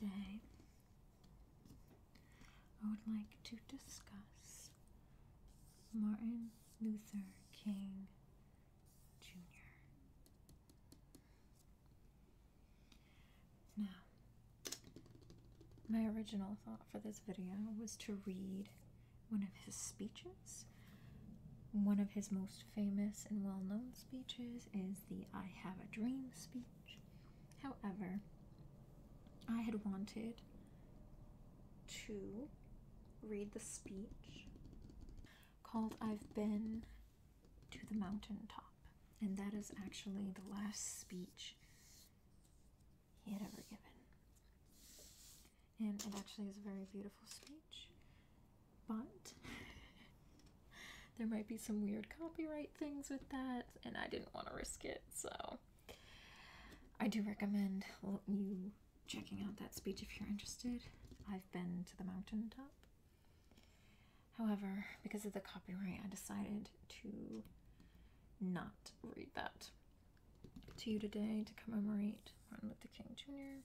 Today, I would like to discuss Martin Luther King Jr. Now, my original thought for this video was to read one of his speeches. One of his most famous and well known speeches is the I Have a Dream speech. However, I had wanted to read the speech called I've Been to the mountaintop. And that is actually the last speech he had ever given. And it actually is a very beautiful speech, but there might be some weird copyright things with that, and I didn't want to risk it, so I do recommend you checking out that speech if you're interested. I've been to the mountaintop However, because of the copyright, I decided to not read that to you today to commemorate Martin Luther King Jr.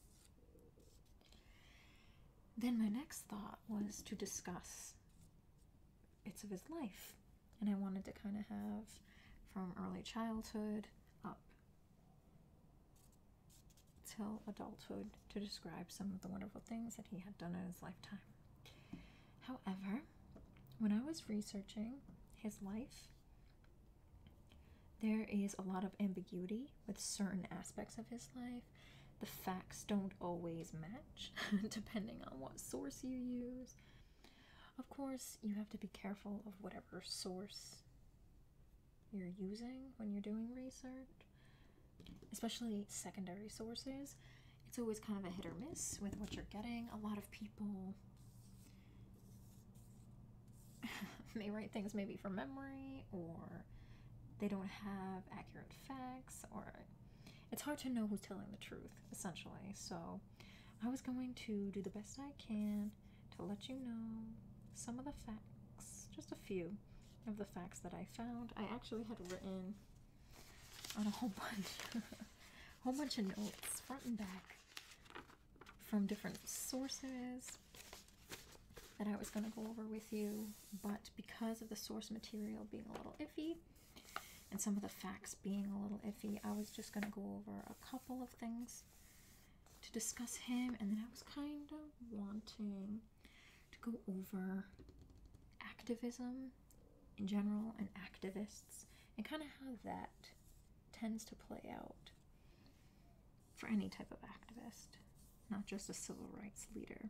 Then my next thought was to discuss bits of his life, and I wanted to kind of have from early childhood up till adulthood to describe some of the wonderful things that he had done in his lifetime However, when I was researching his life, there is a lot of ambiguity with certain aspects of his life. The facts don't always match, depending on what source you use. Of course, you have to be careful of whatever source you're using when you're doing research especially secondary sources, it's always kind of a hit or miss with what you're getting. A lot of people may write things maybe from memory or they don't have accurate facts or it's hard to know who's telling the truth essentially so i was going to do the best i can to let you know some of the facts just a few of the facts that i found i actually had written on a whole bunch, a whole bunch of notes, front and back, from different sources that I was going to go over with you, but because of the source material being a little iffy and some of the facts being a little iffy, I was just going to go over a couple of things to discuss him, and then I was kind of wanting to go over activism in general and activists and kind of how that tends to play out for any type of activist, not just a civil rights leader.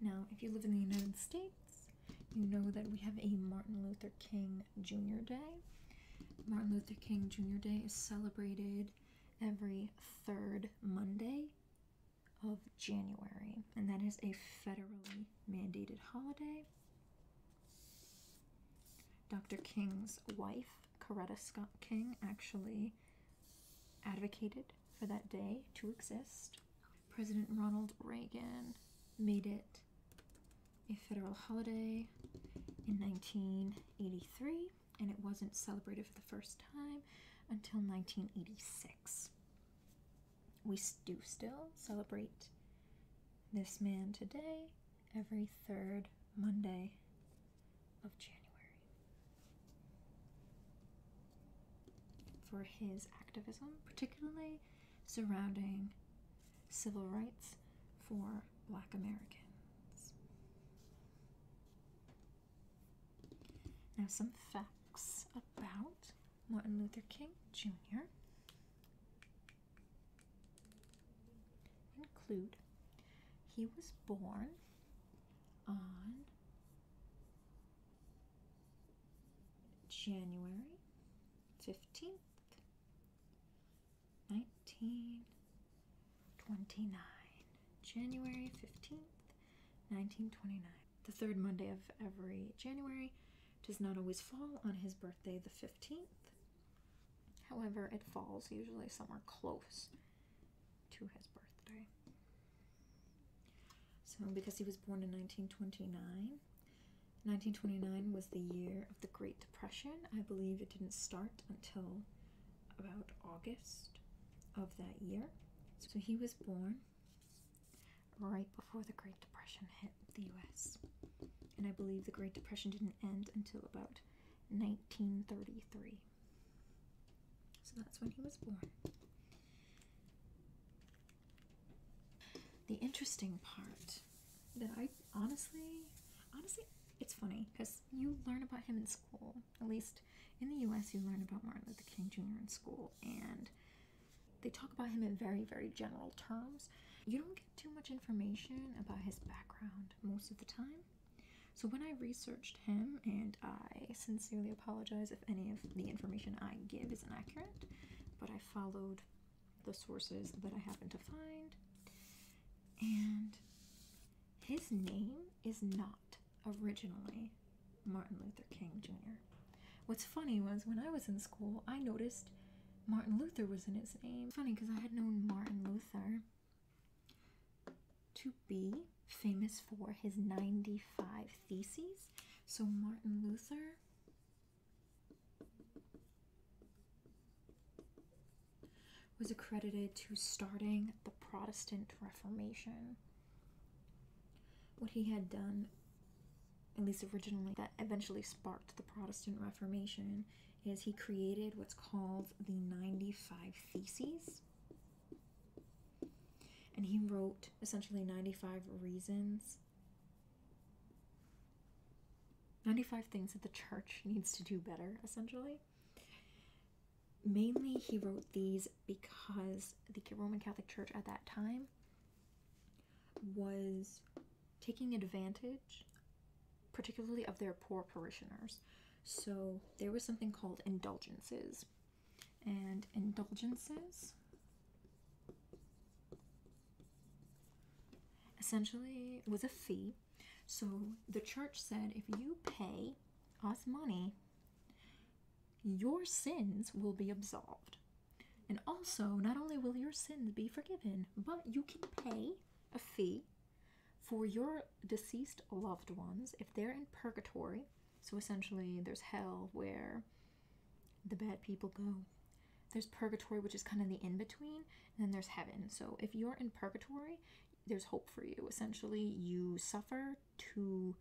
Now, if you live in the United States, you know that we have a Martin Luther King Jr. Day. Martin Luther King Jr. Day is celebrated every third Monday of January, and that is a federally mandated holiday. Dr. King's wife, Coretta Scott King, actually advocated for that day to exist. President Ronald Reagan made it a federal holiday in 1983 and it wasn't celebrated for the first time until 1986. We do still celebrate this man today every third Monday of January for his activism, particularly surrounding civil rights for black Americans. Now, some facts about Martin Luther King Jr. include he was born on January 15th, 1929. January 15th, 1929. The third Monday of every January does not always fall on his birthday, the 15th. However, it falls usually somewhere close to his birthday. So, because he was born in 1929, 1929 was the year of the Great Depression. I believe it didn't start until about August of that year. So he was born right before the Great Depression hit the US. And I believe the Great Depression didn't end until about 1933. So that's when he was born. The interesting part that I honestly, honestly, it's funny because you learn about him in school. At least in the U.S., you learn about Martin Luther King Jr. in school, and they talk about him in very, very general terms. You don't get too much information about his background most of the time. So, when I researched him, and I sincerely apologize if any of the information I give is inaccurate, but I followed the sources that I happened to find, and his name is not originally Martin Luther King Jr. What's funny was when I was in school, I noticed Martin Luther was in his name. Funny because I had known Martin Luther to be famous for his 95 theses. So Martin Luther was accredited to starting the Protestant Reformation what he had done, at least originally, that eventually sparked the Protestant Reformation, is he created what's called the 95 Theses. And he wrote essentially 95 reasons 95 things that the church needs to do better, essentially mainly he wrote these because the Roman Catholic Church at that time was taking advantage, particularly of their poor parishioners. So there was something called indulgences. And indulgences essentially was a fee. So the church said if you pay us money, your sins will be absolved. And also, not only will your sins be forgiven, but you can pay a fee for your deceased loved ones if they're in purgatory. So essentially, there's hell where the bad people go. There's purgatory, which is kind of the in between, and then there's heaven. So if you're in purgatory, there's hope for you. Essentially, you suffer to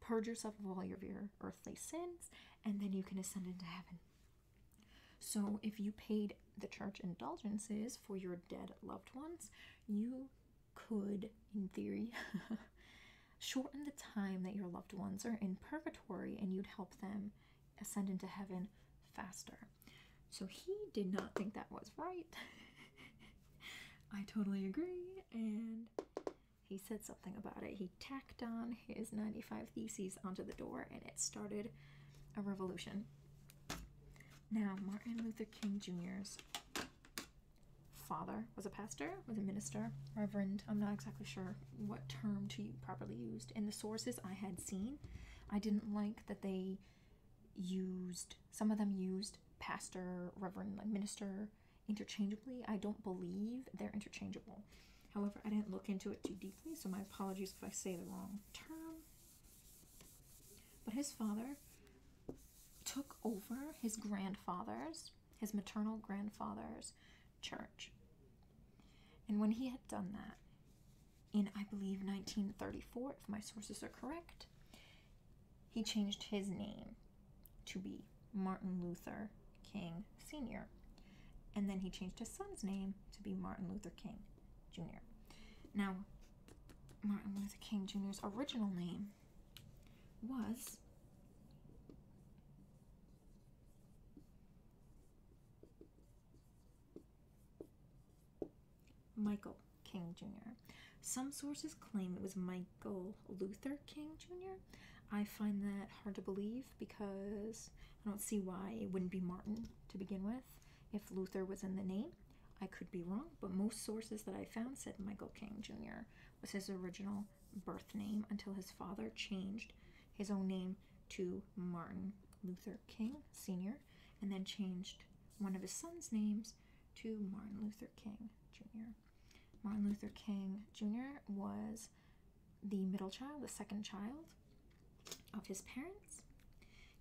purge yourself of all of your earthly sins, and then you can ascend into heaven. So, if you paid the church indulgences for your dead loved ones, you could, in theory, shorten the time that your loved ones are in purgatory and you'd help them ascend into heaven faster. So, he did not think that was right. I totally agree and he said something about it. He tacked on his 95 Theses onto the door and it started a revolution. Now, Martin Luther King Jr.'s father was a pastor, was a minister, reverend. I'm not exactly sure what term to properly use In the sources I had seen, I didn't like that they used some of them used pastor, reverend, like minister interchangeably. I don't believe they're interchangeable. However, I didn't look into it too deeply, so my apologies if I say the wrong term. But his father took over his grandfather's, his maternal grandfather's church. And when he had done that, in I believe 1934, if my sources are correct, he changed his name to be Martin Luther King Sr. And then he changed his son's name to be Martin Luther King Jr. Now, Martin Luther King Jr.'s original name was Michael King Jr. Some sources claim it was Michael Luther King Jr. I find that hard to believe because I don't see why it wouldn't be Martin to begin with if Luther was in the name. I could be wrong, but most sources that I found said Michael King Jr. was his original birth name until his father changed his own name to Martin Luther King Sr. and then changed one of his son's names to Martin Luther King Jr. Martin Luther King Jr. was the middle child, the second child of his parents.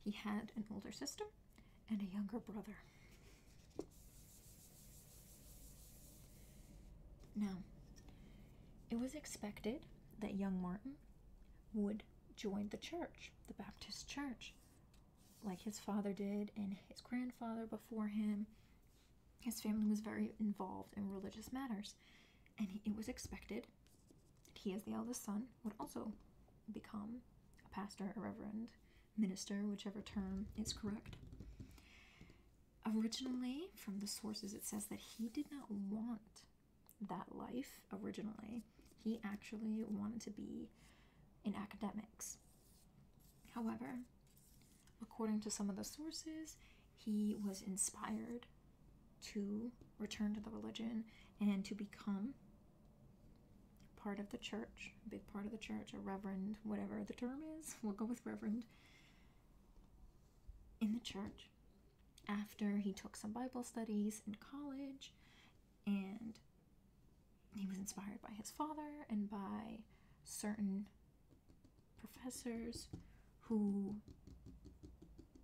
He had an older sister and a younger brother. Now, it was expected that young Martin would join the church, the Baptist church, like his father did and his grandfather before him. His family was very involved in religious matters, and it was expected that he, as the eldest son, would also become a pastor, a reverend, minister, whichever term is correct. Originally, from the sources, it says that he did not want that life originally. He actually wanted to be in academics. However, according to some of the sources, he was inspired to return to the religion and to become part of the church, a big part of the church, a reverend, whatever the term is, we'll go with reverend, in the church after he took some Bible studies in college and he was inspired by his father and by certain professors who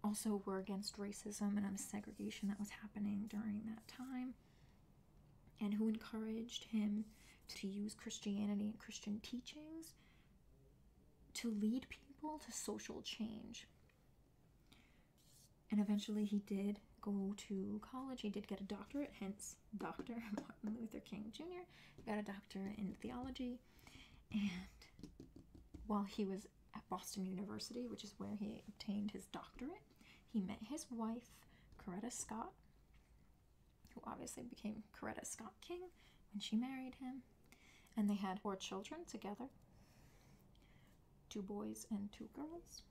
also were against racism and segregation that was happening during that time and who encouraged him to use Christianity and Christian teachings to lead people to social change. And eventually he did go to college, he did get a doctorate, hence Dr. Martin Luther King Jr., got a doctorate in theology, and while he was at Boston University, which is where he obtained his doctorate, he met his wife, Coretta Scott, who obviously became Coretta Scott King when she married him, and they had four children together two boys and two girls.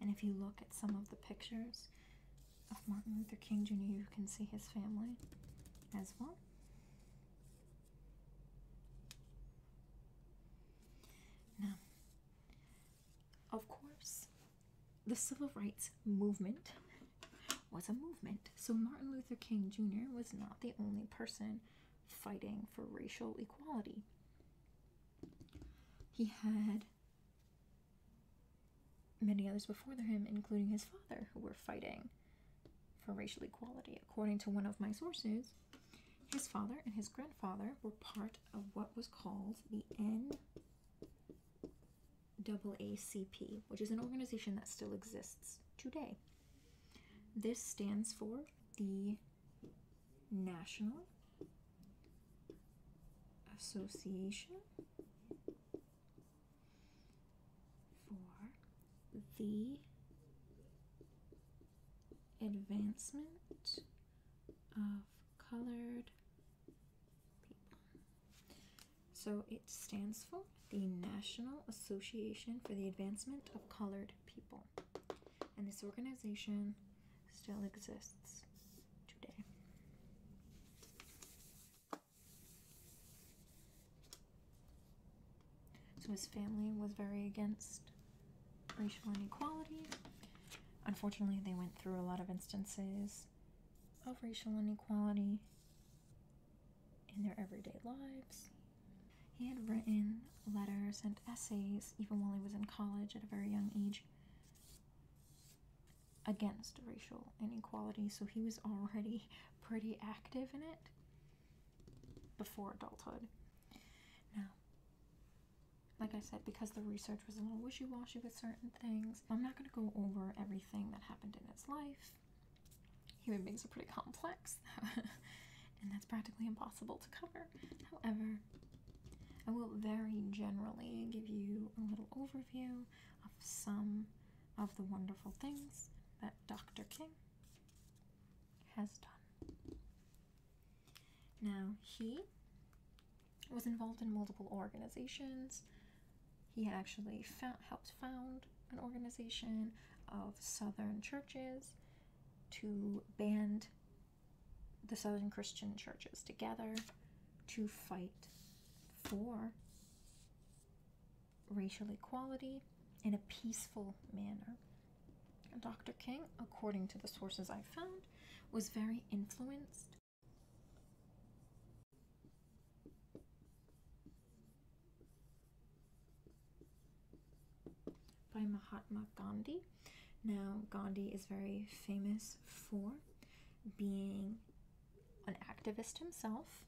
And if you look at some of the pictures of Martin Luther King Jr., you can see his family as well. Now, of course, the Civil Rights Movement was a movement. So Martin Luther King Jr. was not the only person fighting for racial equality. He had many others before him, including his father, who were fighting for racial equality. According to one of my sources, his father and his grandfather were part of what was called the N A C P, which is an organization that still exists today. This stands for the National Association for the Advancement of Colored People. So it stands for the National Association for the Advancement of Colored people. And this organization still exists today. So his family was very against racial inequality. Unfortunately, they went through a lot of instances of racial inequality in their everyday lives. He had written letters and essays, even while he was in college at a very young age, against racial inequality, so he was already pretty active in it before adulthood. Now, like I said, because the research was a little wishy washy with certain things, I'm not going to go over everything that happened in his life. Human beings are pretty complex, and that's practically impossible to cover. However, I will very generally give you a little overview of some of the wonderful things that Dr. King has done. Now, he was involved in multiple organizations. He actually helped found an organization of Southern churches to band the Southern Christian churches together to fight for racial equality in a peaceful manner. Dr. King, according to the sources I found, was very influenced by Mahatma Gandhi. Now, Gandhi is very famous for being an activist himself.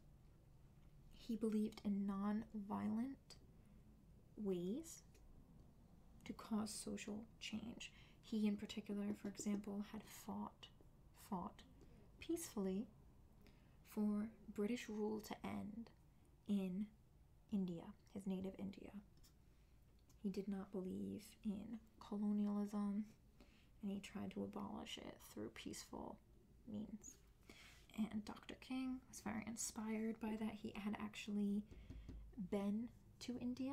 He believed in non violent ways to cause social change. He, in particular, for example, had fought, fought peacefully for British rule to end in India, his native India. He did not believe in colonialism and he tried to abolish it through peaceful means. And Dr. King was very inspired by that. He had actually been to India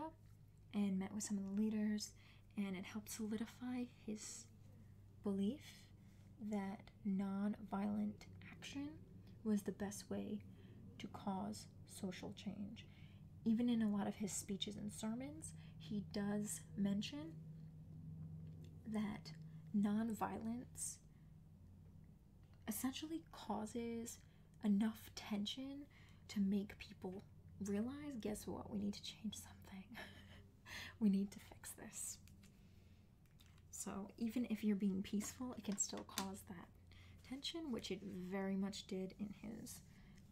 and met with some of the leaders, and it helped solidify his belief that non-violent action was the best way to cause social change. Even in a lot of his speeches and sermons, he does mention that nonviolence essentially causes enough tension to make people realize guess what? We need to change something. we need to fix this. So even if you're being peaceful, it can still cause that tension, which it very much did in his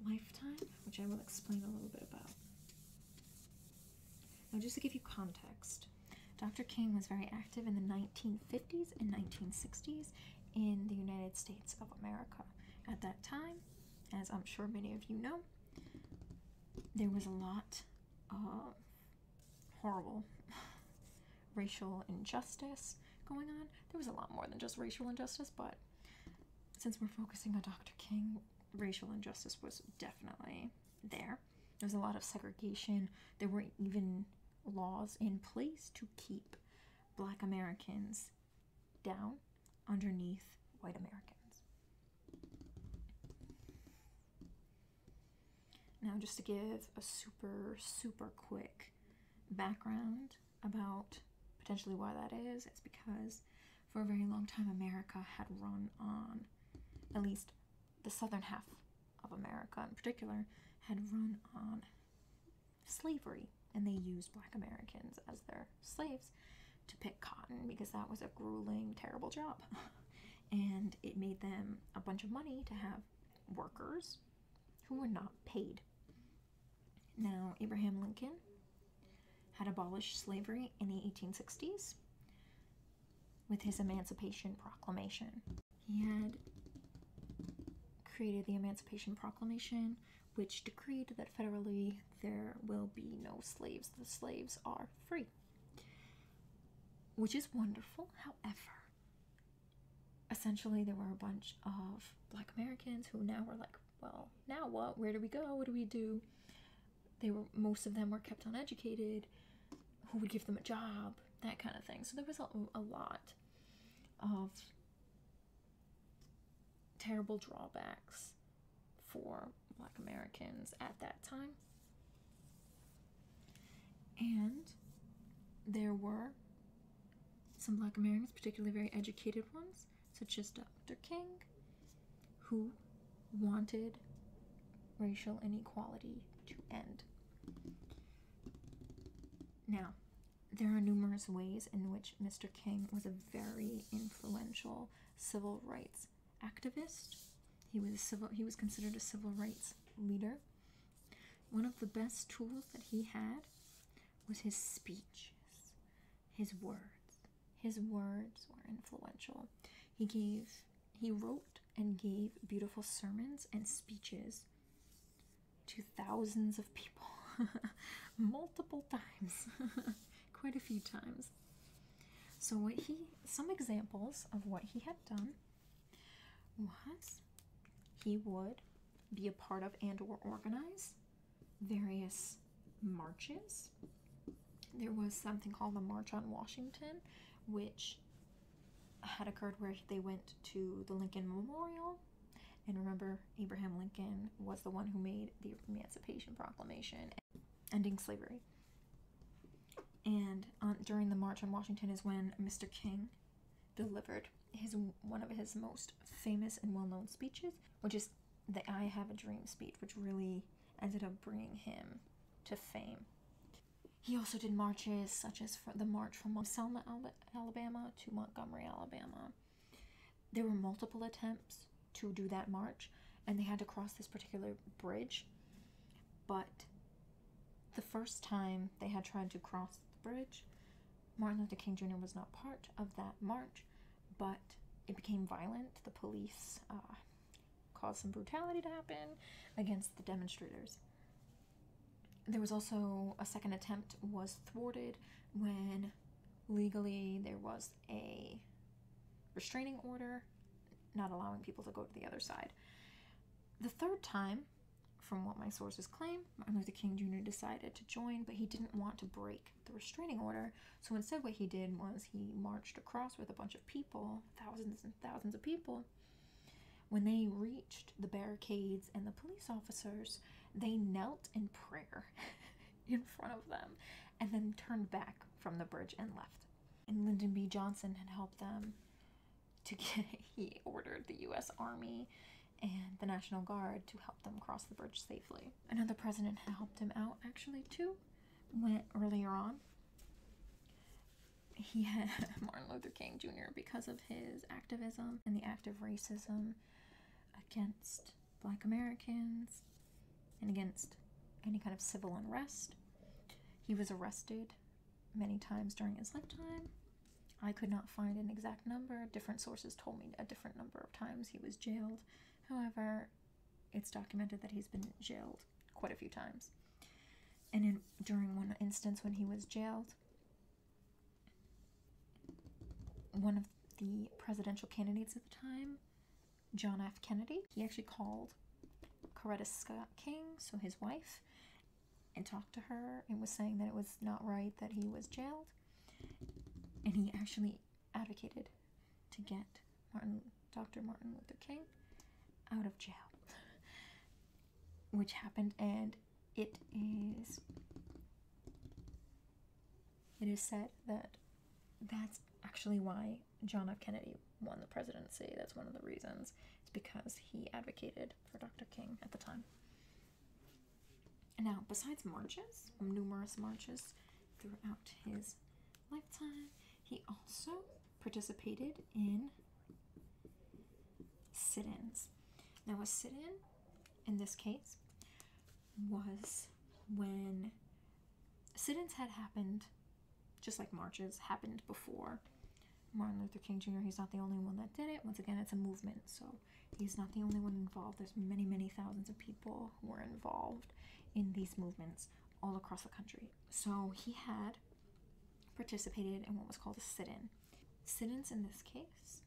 lifetime, which I will explain a little bit about. Now, just to give you context, Dr. King was very active in the 1950s and 1960s in the United States of America. At that time, as I'm sure many of you know, there was a lot of horrible racial injustice going on. There was a lot more than just racial injustice, but since we're focusing on Dr. King, racial injustice was definitely there. There was a lot of segregation. There were even laws in place to keep black Americans down underneath white Americans. Now, just to give a super, super quick background about potentially why that is, it's because for a very long time America had run on, at least the southern half of America in particular, had run on slavery. And they used black Americans as their slaves to pick cotton because that was a grueling, terrible job. and it made them a bunch of money to have workers who were not paid. Now, Abraham Lincoln had abolished slavery in the 1860s with his Emancipation Proclamation. He had created the Emancipation Proclamation, which decreed that federally there will be no slaves. The slaves are free which is wonderful. However, essentially, there were a bunch of black Americans who now were like, well, now what? Where do we go? What do we do? They were, most of them were kept uneducated. Who would give them a job? That kind of thing. So there was a, lot of terrible drawbacks for black Americans at that time. And there were some Black Americans, particularly very educated ones, such as Dr. King, who wanted racial inequality to end. Now, there are numerous ways in which Mr. King was a very influential civil rights activist he was civil he was considered a civil rights leader. One of the best tools that he had was his speeches, his words. His words were influential. He gave he wrote and gave beautiful sermons and speeches to thousands of people multiple times quite a few times so what he some examples of what he had done was he would be a part of and or organize various marches. There was something called the March on Washington, which had occurred where they went to the Lincoln Memorial. And remember, Abraham Lincoln was the one who made the Emancipation Proclamation ending slavery. And during the March on Washington is when Mr. King delivered his one of his most famous and well-known speeches, which is the "I Have a Dream" speech, which really ended up bringing him to fame. He also did marches such as the march from Selma, Alabama to Montgomery, Alabama. There were multiple attempts to do that march, and they had to cross this particular bridge, but the first time they had tried to cross the bridge, Martin Luther King Jr. was not part of that march, but it became violent. The police uh, caused some brutality to happen against the demonstrators. There was also a second attempt was thwarted when legally there was a restraining order not allowing people to go to the other side. The third time, from what my sources claim, Martin Luther King Jr. decided to join, but he didn't want to break the restraining order. So instead, what he did was he marched across with a bunch of people, thousands and thousands of people. When they reached the barricades and the police officers, they knelt in prayer in front of them and then turned back from the bridge and left. And Lyndon B. Johnson had helped them to get he ordered the U.S. Army and the National Guard to help them cross the bridge safely. Another president helped him out actually too. Went earlier on. He had Martin Luther King Jr. because of his activism and the act of racism against black Americans and against any kind of civil unrest. He was arrested many times during his lifetime. I could not find an exact number. Different sources told me a different number of times he was jailed. However, it's documented that he's been jailed quite a few times. And in, during one instance when he was jailed, one of the presidential candidates at the time, John F. Kennedy, he actually called Coretta Scott King, so his wife, and talked to her and was saying that it was not right that he was jailed. And he actually advocated to get Martin, Dr. Martin Luther King out of jail, which happened. And it is it is said that that's actually why John F. Kennedy won the presidency. That's one of the reasons. It's because he advocated for Dr. King at the time. Now, besides marches, numerous marches throughout his lifetime, he also participated in sit ins. Now, a sit in, in this case, was when sit ins had happened just like marches happened before Martin Luther King Jr. He's not the only one that did it. Once again, it's a movement, so he's not the only one involved. There's many, many thousands of people who were involved in these movements all across the country. So he had participated in what was called a sit-in. Sit-ins in this case,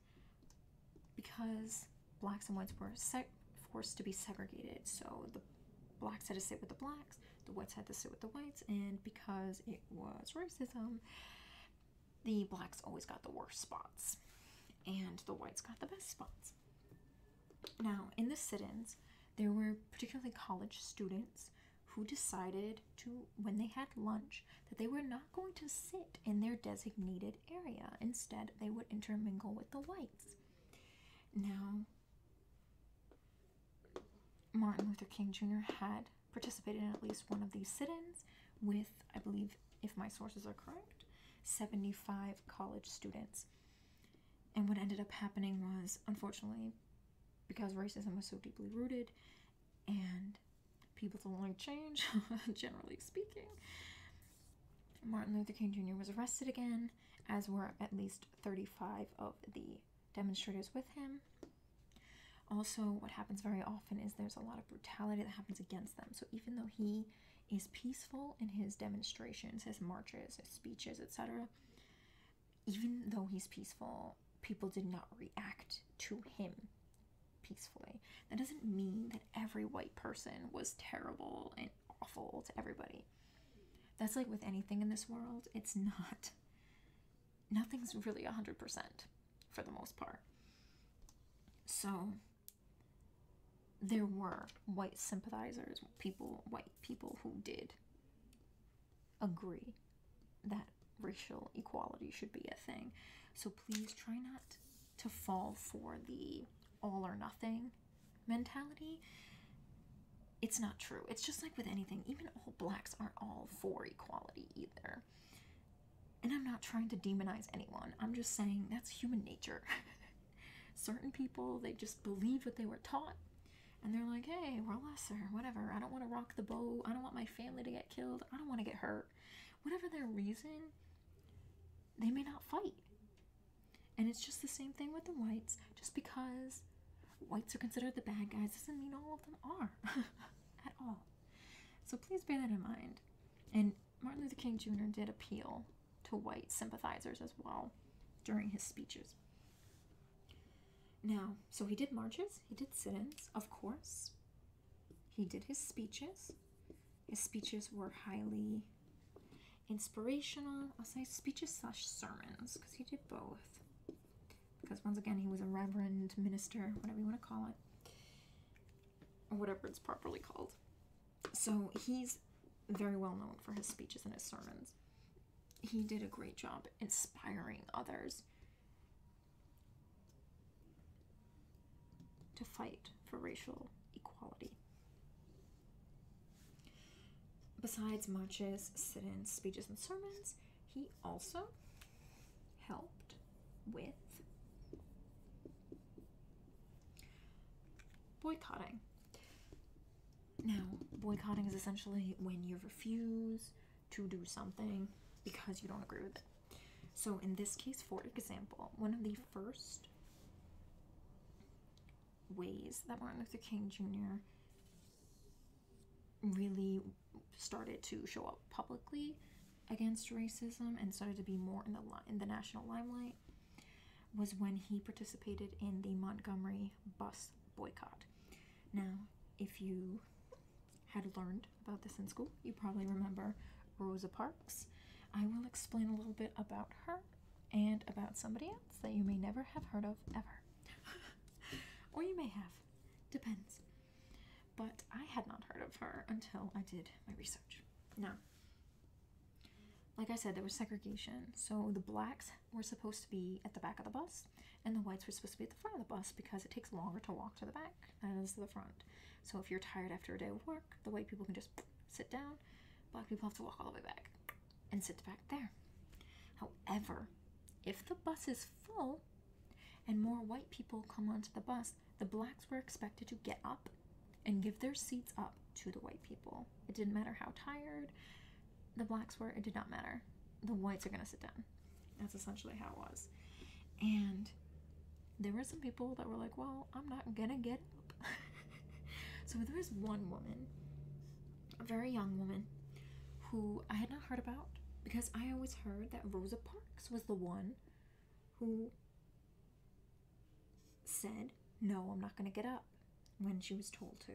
because blacks and whites were forced to be segregated, so the blacks had to sit with the blacks the whites had to sit with the whites, and because it was racism, the blacks always got the worst spots, and the whites got the best spots. Now, in the sit ins, there were particularly college students who decided to, when they had lunch, that they were not going to sit in their designated area. Instead, they would intermingle with the whites. Now, Martin Luther King Jr. had participated in at least one of these sit-ins with, I believe, if my sources are correct, 75 college students. And what ended up happening was, unfortunately, because racism was so deeply rooted and people don't like change, generally speaking, Martin Luther King Jr. was arrested again, as were at least 35 of the demonstrators with him. Also, what happens very often is there's a lot of brutality that happens against them. So, even though he is peaceful in his demonstrations, his marches, his speeches, etc., even though he's peaceful, people did not react to him peacefully. That doesn't mean that every white person was terrible and awful to everybody. That's like with anything in this world, it's not nothing's really 100% for the most part. So there were white sympathizers, people, white people who did agree that racial equality should be a thing. So please try not to fall for the all or nothing mentality it's not true. It's just like with anything, even all blacks aren't all for equality either. And I'm not trying to demonize anyone, I'm just saying that's human nature. Certain people, they just believe what they were taught, and they're like, hey, we're lesser, whatever. I don't want to rock the boat. I don't want my family to get killed. I don't want to get hurt. Whatever their reason, they may not fight. And it's just the same thing with the whites. Just because whites are considered the bad guys doesn't mean all of them are at all. So please bear that in mind. And Martin Luther King Jr. did appeal to white sympathizers as well during his speeches. Now, so he did marches, he did sit ins, of course. He did his speeches. His speeches were highly inspirational. I'll say speeches slash sermons because he did both because once again he was a reverend minister whatever you want to call it or whatever it's properly called so he's very well known for his speeches and his sermons he did a great job inspiring others to fight for racial equality besides marches sit-ins speeches and sermons he also helped with boycotting. Now, boycotting is essentially when you refuse to do something because you don't agree with it. So, in this case, for example, one of the first ways that Martin Luther King Jr really started to show up publicly against racism and started to be more in the in the national limelight was when he participated in the Montgomery bus boycott. Now, if you had learned about this in school, you probably remember Rosa Parks. I will explain a little bit about her and about somebody else that you may never have heard of ever. or you may have. Depends. But I had not heard of her until I did my research. Now, like I said, there was segregation. So the blacks were supposed to be at the back of the bus, and the whites were supposed to be at the front of the bus because it takes longer to walk to the back than it is to the front. So if you're tired after a day of work, the white people can just sit down, black people have to walk all the way back and sit back there. However, if the bus is full, and more white people come onto the bus, the blacks were expected to get up and give their seats up to the white people. It didn't matter how tired the blacks were, it did not matter. The whites are going to sit down. That's essentially how it was. And there were some people that were like, well, I'm not going to get up. so there was one woman a very young woman who I had not heard about because I always heard that Rosa Parks was the one who said, No, I'm not going to get up when she was told to.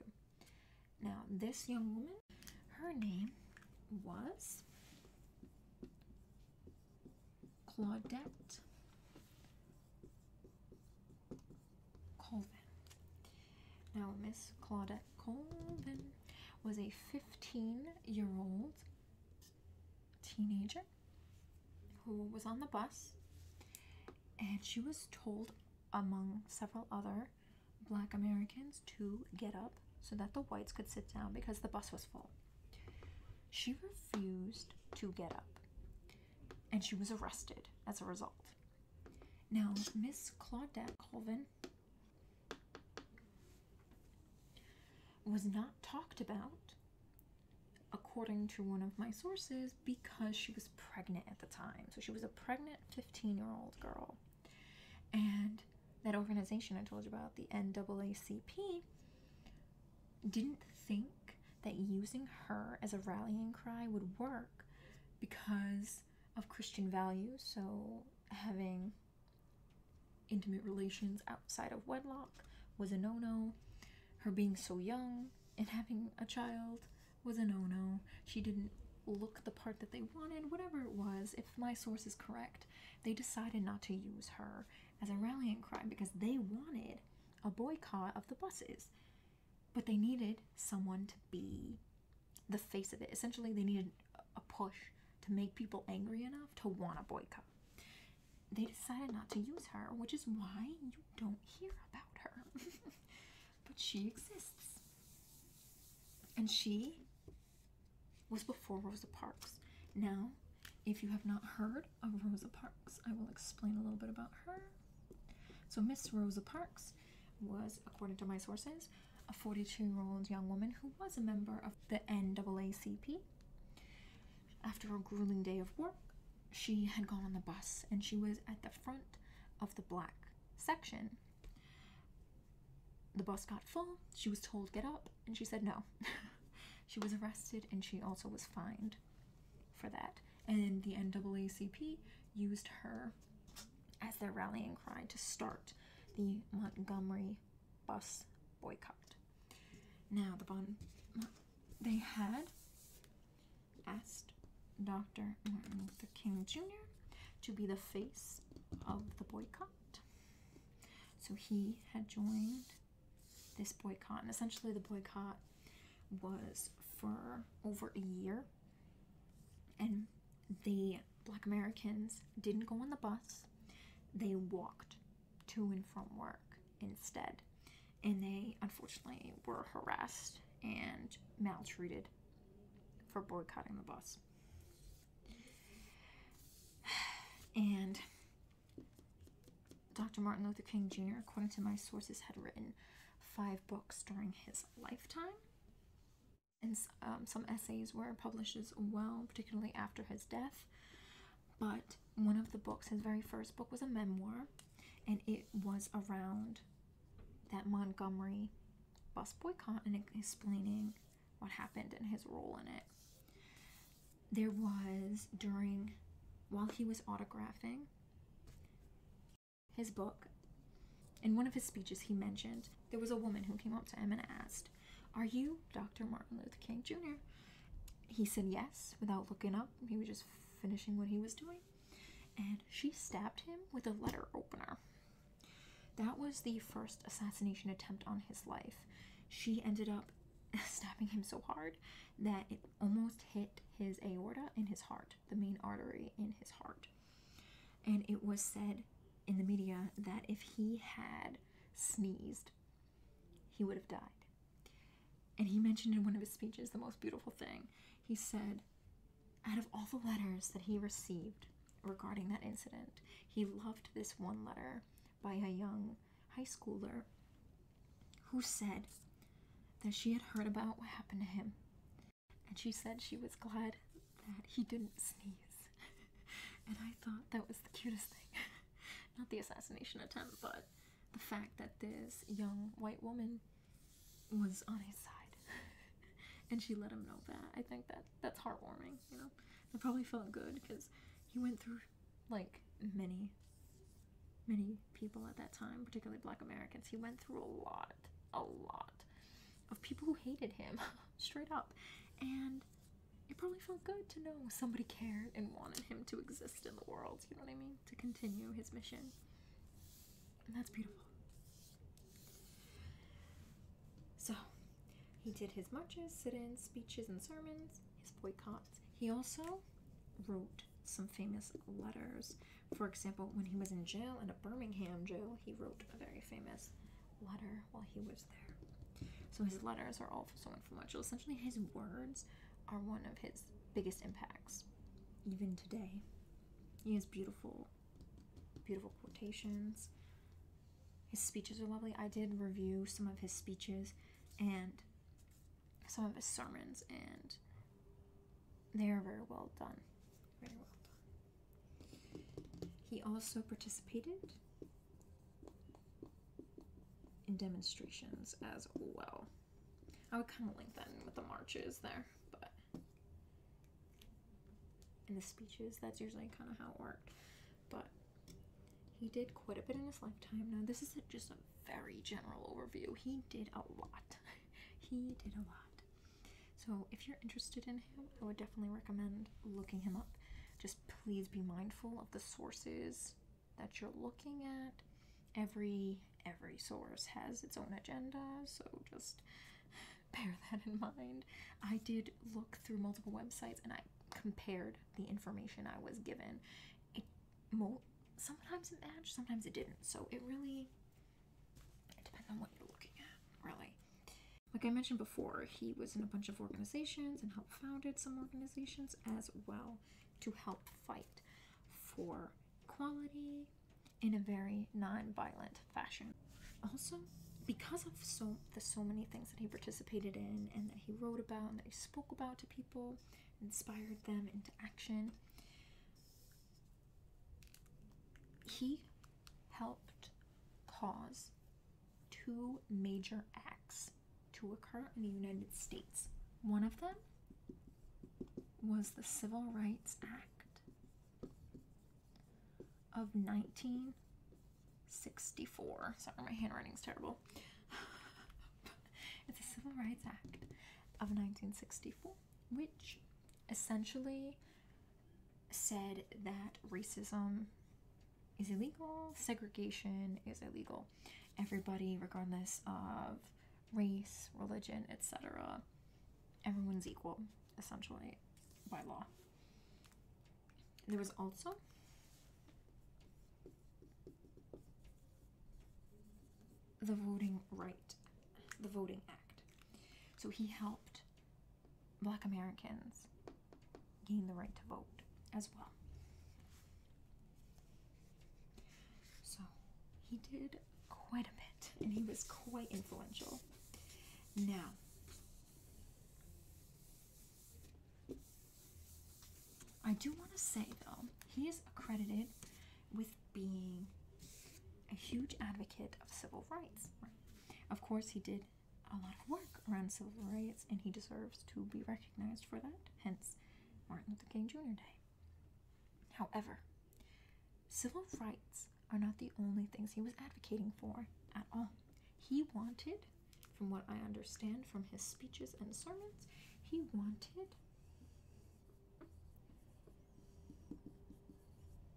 Now, this young woman, her name was Claudette Colvin. Now, Miss Claudette Colvin was a 15 year old teenager who was on the bus, and she was told, among several other black Americans, to get up so that the whites could sit down because the bus was full. She refused to get up, and she was arrested as a result. Now, Miss Claudette Colvin was not talked about, according to one of my sources, because she was pregnant at the time. So she was a pregnant 15 year old girl. And that organization I told you about, the NAACP, didn't think that using her as a rallying cry would work because of Christian values. So having intimate relations outside of wedlock was a no no. Her being so young and having a child was a no no. She didn't look the part that they wanted, whatever it was. If my source is correct, they decided not to use her as a rallying cry because they wanted a boycott of the buses. But they needed someone to be the face of it. Essentially, they needed a push to make people angry enough to want a boycott. They decided not to use her, which is why you don't hear about her. but she exists. And she was before Rosa Parks. Now, if you have not heard of Rosa Parks, I will explain a little bit about her. So, Miss Rosa Parks was, according to my sources, a 42 year old young woman who was a member of the NAACP. After a grueling day of work, she had gone on the bus and she was at the front of the black section. The bus got full, she was told get up, and she said no. she was arrested and she also was fined for that. And the NAACP used her as their rallying cry to start the Montgomery bus boycott. Now, the bond they had asked Dr. Martin Luther King Jr. to be the face of the boycott. So he had joined this boycott, and essentially the boycott was for over a year. And the black Americans didn't go on the bus, they walked to and from work instead. And they unfortunately were harassed and maltreated for boycotting the bus. And Dr. Martin Luther King Jr., according to my sources, had written five books during his lifetime and um, some essays were published as well, particularly after his death. But one of the books, his very first book, was a memoir, and it was around that Montgomery bus boycott and explaining what happened and his role in it. There was during while he was autographing his book, in one of his speeches, he mentioned there was a woman who came up to him and asked, Are you Dr. Martin Luther King Jr.? He said yes without looking up. He was just finishing what he was doing. And she stabbed him with a letter opener. That was the first assassination attempt on his life. She ended up stabbing him so hard that it almost hit his aorta in his heart, the main artery in his heart. And it was said in the media that if he had sneezed, he would have died. And he mentioned in one of his speeches the most beautiful thing. He said, out of all the letters that he received regarding that incident, he loved this one letter by a young high schooler who said that she had heard about what happened to him and she said she was glad that he didn't sneeze. and I thought that was the cutest thing. Not the assassination attempt, but the fact that this young white woman was on his side. and she let him know that. I think that that's heartwarming, you know? It probably felt good because he went through like many, many people at that time, particularly black Americans. He went through a lot, a lot of people who hated him straight up and it probably felt good to know somebody cared and wanted him to exist in the world you know what i mean to continue his mission and that's beautiful so he did his marches sit-ins speeches and sermons his boycotts he also wrote some famous letters for example when he was in jail in a birmingham jail he wrote a very famous letter while he was there. So his letters are all so influential. Essentially, his words are one of his biggest impacts, even today. He has beautiful, beautiful quotations. His speeches are lovely. I did review some of his speeches and some of his sermons, and they are very well done. Very well done. He also participated in demonstrations as well. I would kind of link that in with the marches there, but in the speeches, that's usually kind of how it worked. But he did quite a bit in his lifetime. Now, this is just a very general overview. He did a lot. he did a lot. So, if you're interested in him, I would definitely recommend looking him up. Just please be mindful of the sources that you're looking at. Every every source has its own agenda, so just bear that in mind. I did look through multiple websites and I compared the information I was given. It sometimes it matched, sometimes it didn't. So it really depends on what you're looking at, really. Like I mentioned before, he was in a bunch of organizations and helped founded some organizations as well to help fight for equality in a very non-violent fashion. Also, because of so the so many things that he participated in and that he wrote about and that he spoke about to people, inspired them into action, he helped cause two major acts to occur in the United States. One of them was the Civil Rights Act of 1964. Sorry, my handwriting's terrible. it's the Civil Rights Act of 1964, which essentially said that racism is illegal, segregation is illegal. Everybody, regardless of race, religion, etc., everyone's equal, essentially, by law. There was also the Voting Right, the Voting Act. So he helped black Americans gained the right to vote as well. So he did quite a bit and he was quite influential. Now, I do want to say though, he is accredited with being a huge advocate of civil rights. Of course, he did a lot of work around civil rights, and he deserves to be recognized for that, hence Martin Luther King Jr. Day. However, civil rights are not the only things he was advocating for at all. He wanted, from what I understand from his speeches and sermons, he wanted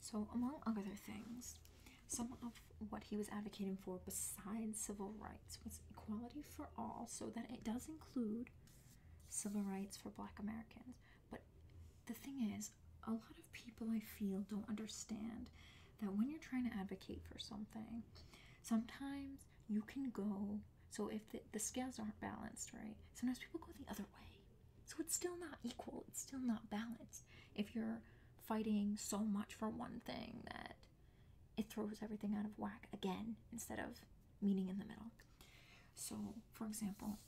So, among other things, some of what he was advocating for besides civil rights was equality for all, so that it does include civil rights for black Americans. But the thing is, a lot of people I feel don't understand that when you're trying to advocate for something, sometimes you can go. So, if the scales aren't balanced, right, sometimes people go the other way. So, it's still not equal, it's still not balanced. If you're fighting so much for one thing that it throws everything out of whack again instead of meaning in the middle. So, for example,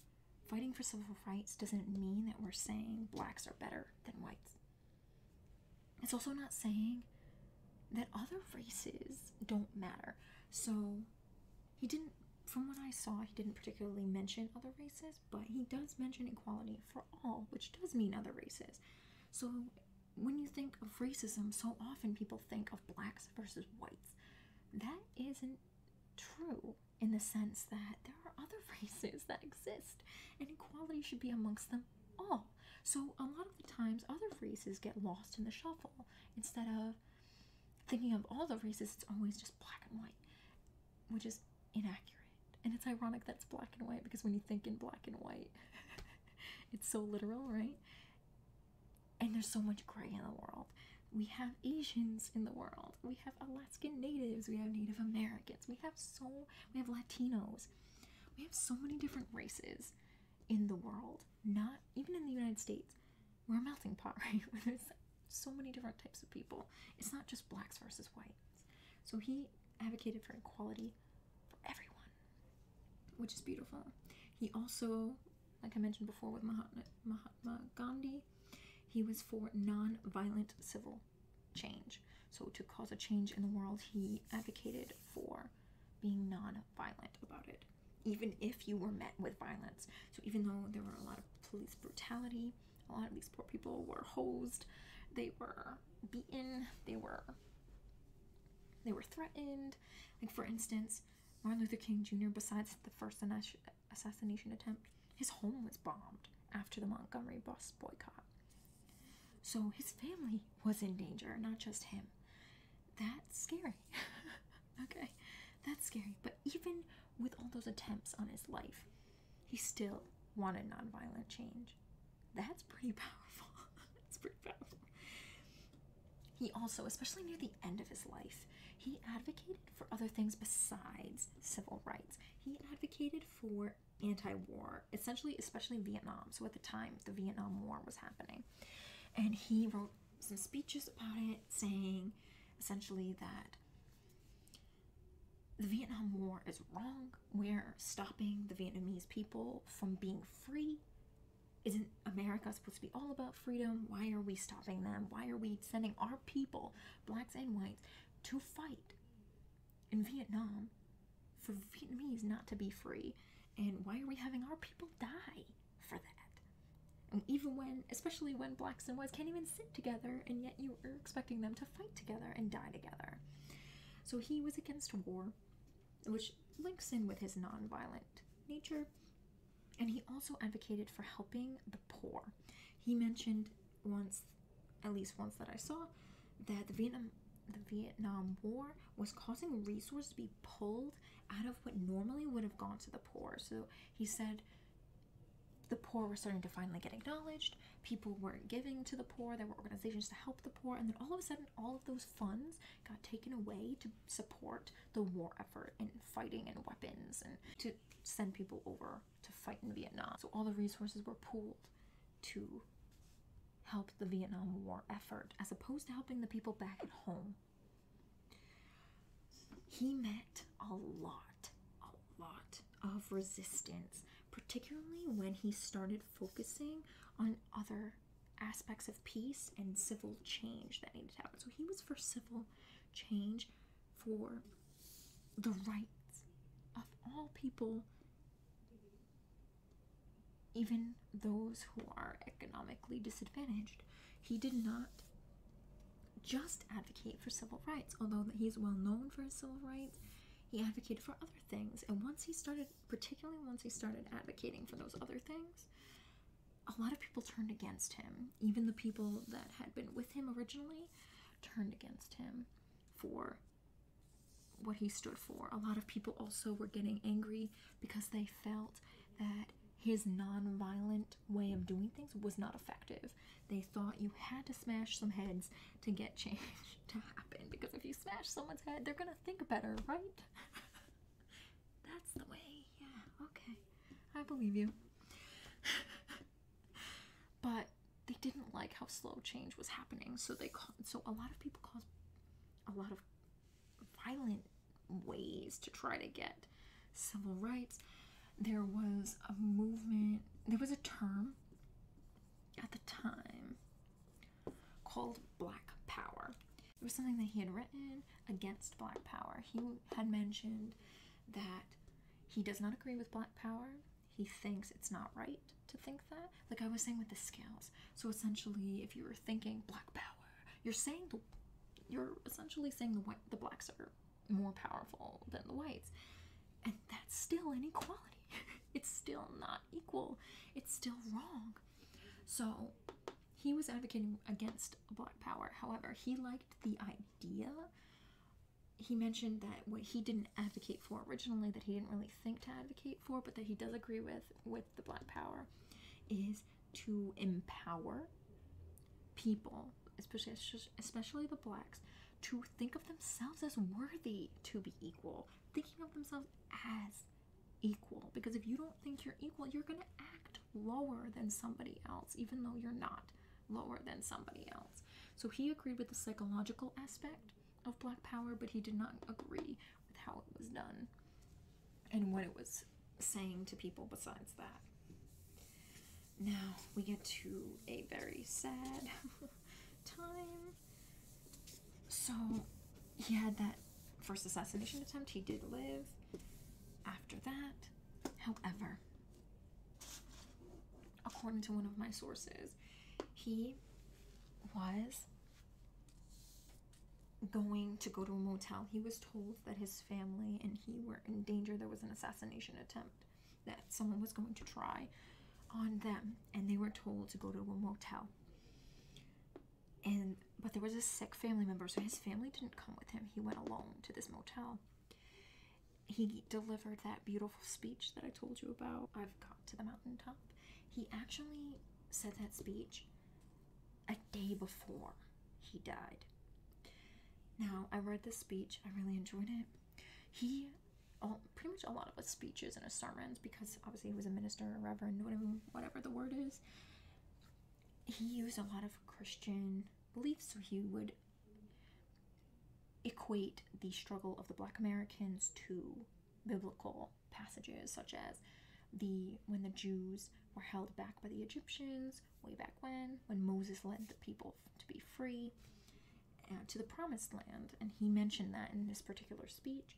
fighting for civil rights doesn't mean that we're saying blacks are better than whites. It's also not saying that other races don't matter. So, he didn't, from what I saw, he didn't particularly mention other races, but he does mention equality for all, which does mean other races. So, when you think of racism, so often people think of blacks versus whites. That isn't true in the sense that there are other races that exist, and equality should be amongst them all. So, a lot of the times, other races get lost in the shuffle instead of thinking of all the races, it's always just black and white, which is inaccurate. And it's ironic that it's black and white because when you think in black and white, it's so literal, right? and there's so much gray in the world. We have Asians in the world. We have Alaskan Natives. We have Native Americans. We have so we have Latinos. We have so many different races in the world. Not even in the United States, we're a melting pot, right? There's so many different types of people. It's not just blacks versus whites. So he advocated for equality everyone, which is beautiful. He also, like I mentioned before with Mahatma, Mahatma Gandhi, he was for non-violent civil change. So to cause a change in the world, he advocated for being non-violent about it, even if you were met with violence. So even though there were a lot of police brutality, a lot of these poor people were hosed, they were beaten, they were they were threatened like, for instance, Martin Luther King Jr., besides the first assassination attempt, his home was bombed after the Montgomery bus boycott. So his family was in danger, not just him. That's scary. okay, that's scary. But even with all those attempts on his life, he still wanted nonviolent change. That's pretty powerful. that's pretty powerful. He also, especially near the end of his life, he advocated for other things besides civil rights. He advocated for anti-war, essentially, especially Vietnam. So at the time, the Vietnam War was happening, and he wrote some speeches about it, saying essentially that the Vietnam War is wrong. We're stopping the Vietnamese people from being free isn't America supposed to be all about freedom? Why are we stopping them? Why are we sending our people, blacks and whites, to fight in Vietnam for Vietnamese not to be free? And why are we having our people die for that? And even when, especially when blacks and whites can't even sit together, and yet you are expecting them to fight together and die together. So he was against war which links in with his nonviolent nature. And he also advocated for helping the poor. He mentioned once, at least once that I saw, that the Vietnam the Vietnam War was causing resources to be pulled out of what normally would have gone to the poor. So he said the poor were starting to finally get acknowledged. People were not giving to the poor. There were organizations to help the poor. And then all of a sudden, all of those funds got taken away to support the war effort and fighting and weapons and to send people over to fight in Vietnam. So all the resources were pooled to help the Vietnam War effort as opposed to helping the people back at home. He met a lot, a lot of resistance, particularly when he started focusing on other aspects of peace and civil change that needed to happen. So he was for civil change for the rights of all people, even those who are economically disadvantaged. He did not just advocate for civil rights, although he is well known for his civil rights. He advocated for other things, and once he started particularly once he started advocating for those other things, a lot of people turned against him. Even the people that had been with him originally turned against him for what he stood for. A lot of people also were getting angry because they felt that his nonviolent way of doing things was not effective. They thought you had to smash some heads to get change to happen because if you smash someone's head, they're gonna think better, right? That's the way. Yeah, okay. I believe you. but they didn't like how slow change was happening, so they so a lot of people caused a lot of violent ways to try to get civil rights. There was a movement. There was a term at the time called Black Power. It was something that he had written against Black Power. He had mentioned that he does not agree with Black Power. He thinks it's not right to think that. Like I was saying with the scales. So essentially, if you were thinking Black Power, you're saying you're essentially saying the the blacks are more powerful than the whites, and that's still inequality. it's still not equal. It's still wrong. So he was advocating against black power. However, he liked the idea. He mentioned that what he didn't advocate for originally, that he didn't really think to advocate for, but that he does agree with with the black power, is to empower people, especially especially the blacks, to think of themselves as worthy to be equal, thinking of themselves as equal because if you don't think you're equal, you're going to act lower than somebody else, even though you're not lower than somebody else. So he agreed with the psychological aspect of Black Power, but he did not agree with how it was done and what it was saying to people besides that. Now we get to a very sad time so he had that first assassination attempt. He did live after that. However, according to one of my sources, he was going to go to a motel. He was told that his family and he were in danger. There was an assassination attempt that someone was going to try on them, and they were told to go to a motel and but there was a sick family member so his family didn't come with him he went alone to this motel he delivered that beautiful speech that i told you about i've got to the mountaintop he actually said that speech a day before he died now i read this speech i really enjoyed it he all, pretty much a lot of his speeches and his sermons because obviously he was a minister a reverend whatever the word is he used a lot of Christian beliefs, so he would equate the struggle of the black Americans to biblical passages such as the when the Jews were held back by the Egyptians way back when when Moses led the people to be free uh, to the promised land and he mentioned that in this particular speech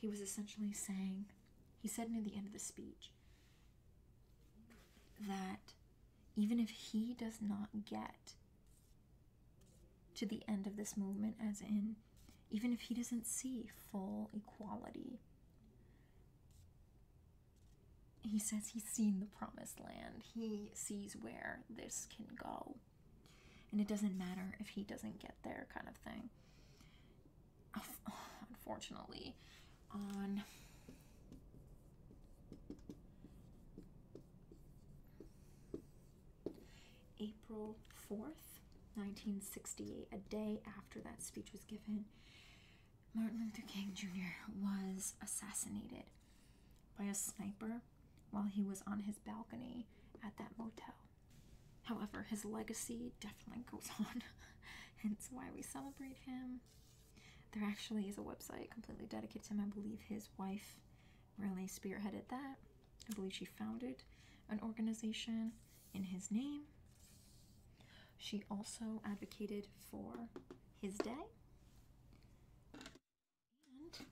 he was essentially saying he said near the end of the speech that even if he does not get to the end of this movement, as in, even if he doesn't see full equality, he says he's seen the promised land. He sees where this can go. And it doesn't matter if he doesn't get there, kind of thing. unfortunately, on April 4th, 1968, a day after that speech was given, Martin Luther King Jr. was assassinated by a sniper while he was on his balcony at that motel. However, his legacy definitely goes on, hence why we celebrate him. There actually is a website completely dedicated to him. I believe his wife really spearheaded that. I believe she founded an organization in his name. She also advocated for his day. And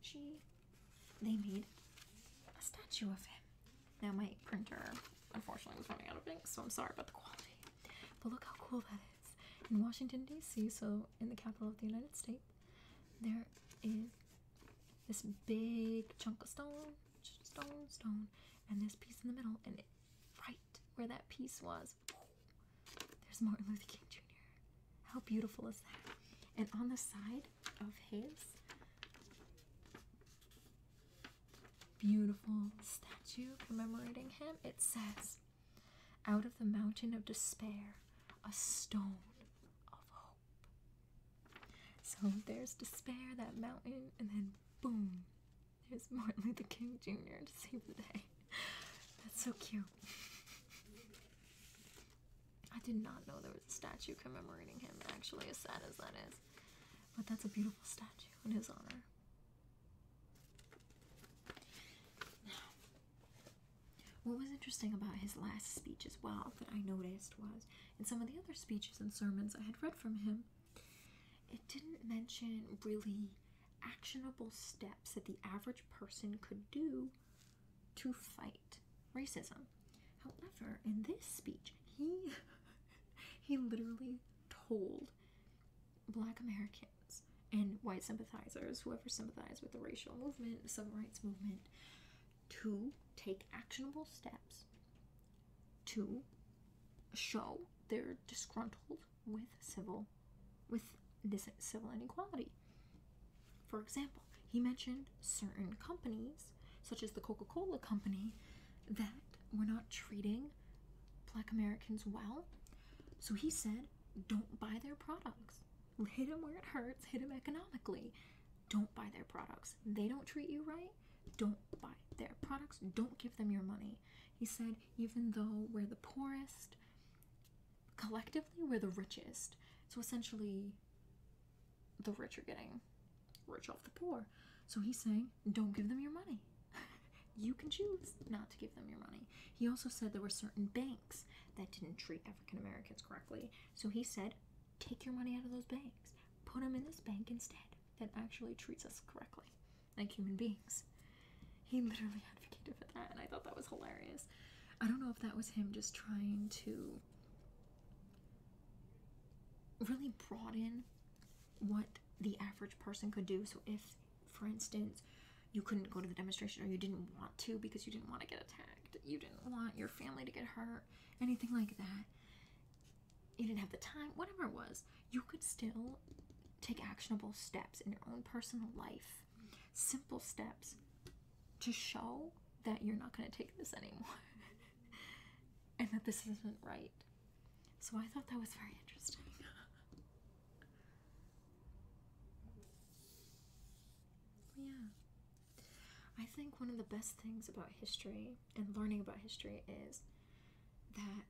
she they made a statue of him now my printer, unfortunately, is running out of ink, so I'm sorry about the quality. But look how cool that is. In Washington, D.C., so in the capital of the United States, there is this big chunk of stone, stone, stone, and this piece in the middle, and it, right where that piece was, there's Martin Luther King Jr. How beautiful is that? And on the side of his beautiful statue commemorating him. It says, Out of the mountain of despair, a stone of hope. So there's despair, that mountain, and then boom, there's Martin Luther King Jr. to save the day. That's so cute. I did not know there was a statue commemorating him, actually, as sad as that is. But that's a beautiful statue in his honor. Now, what was interesting about his last speech as well that I noticed was in some of the other speeches and sermons I had read from him, it didn't mention really actionable steps that the average person could do to fight racism. However, in this speech, he he literally told black Americans and white sympathizers, whoever sympathized with the racial movement, civil rights movement, to take actionable steps to show they're disgruntled with civil with this civil inequality. For example, he mentioned certain companies such as the Coca Cola Company, that were not treating black Americans well. So he said, don't buy their products. Hit them where it hurts, hit them economically. Don't buy their products. They don't treat you right. Don't buy their products. Don't give them your money. He said, even though we're the poorest, collectively we're the richest. So essentially, the rich are getting rich off the poor. So he's saying, don't give them your money. you can choose not to give them your money. He also said there were certain banks that didn't treat African Americans correctly. So he said, take your money out of those banks, put them in this bank instead that actually treats us correctly, like human beings. He literally advocated for that, and I thought that was hilarious. I don't know if that was him just trying to really brought in what the average person could do. So, if, for instance, you couldn't go to the demonstration or you didn't want to because you didn't want to get attacked, you didn't want your family to get hurt, anything like that, you didn't have the time, whatever it was, you could still take actionable steps in your own personal life, simple steps to show that you're not going to take this anymore. and that this isn't right. So I thought that was very interesting. yeah. I think one of the best things about history and learning about history is that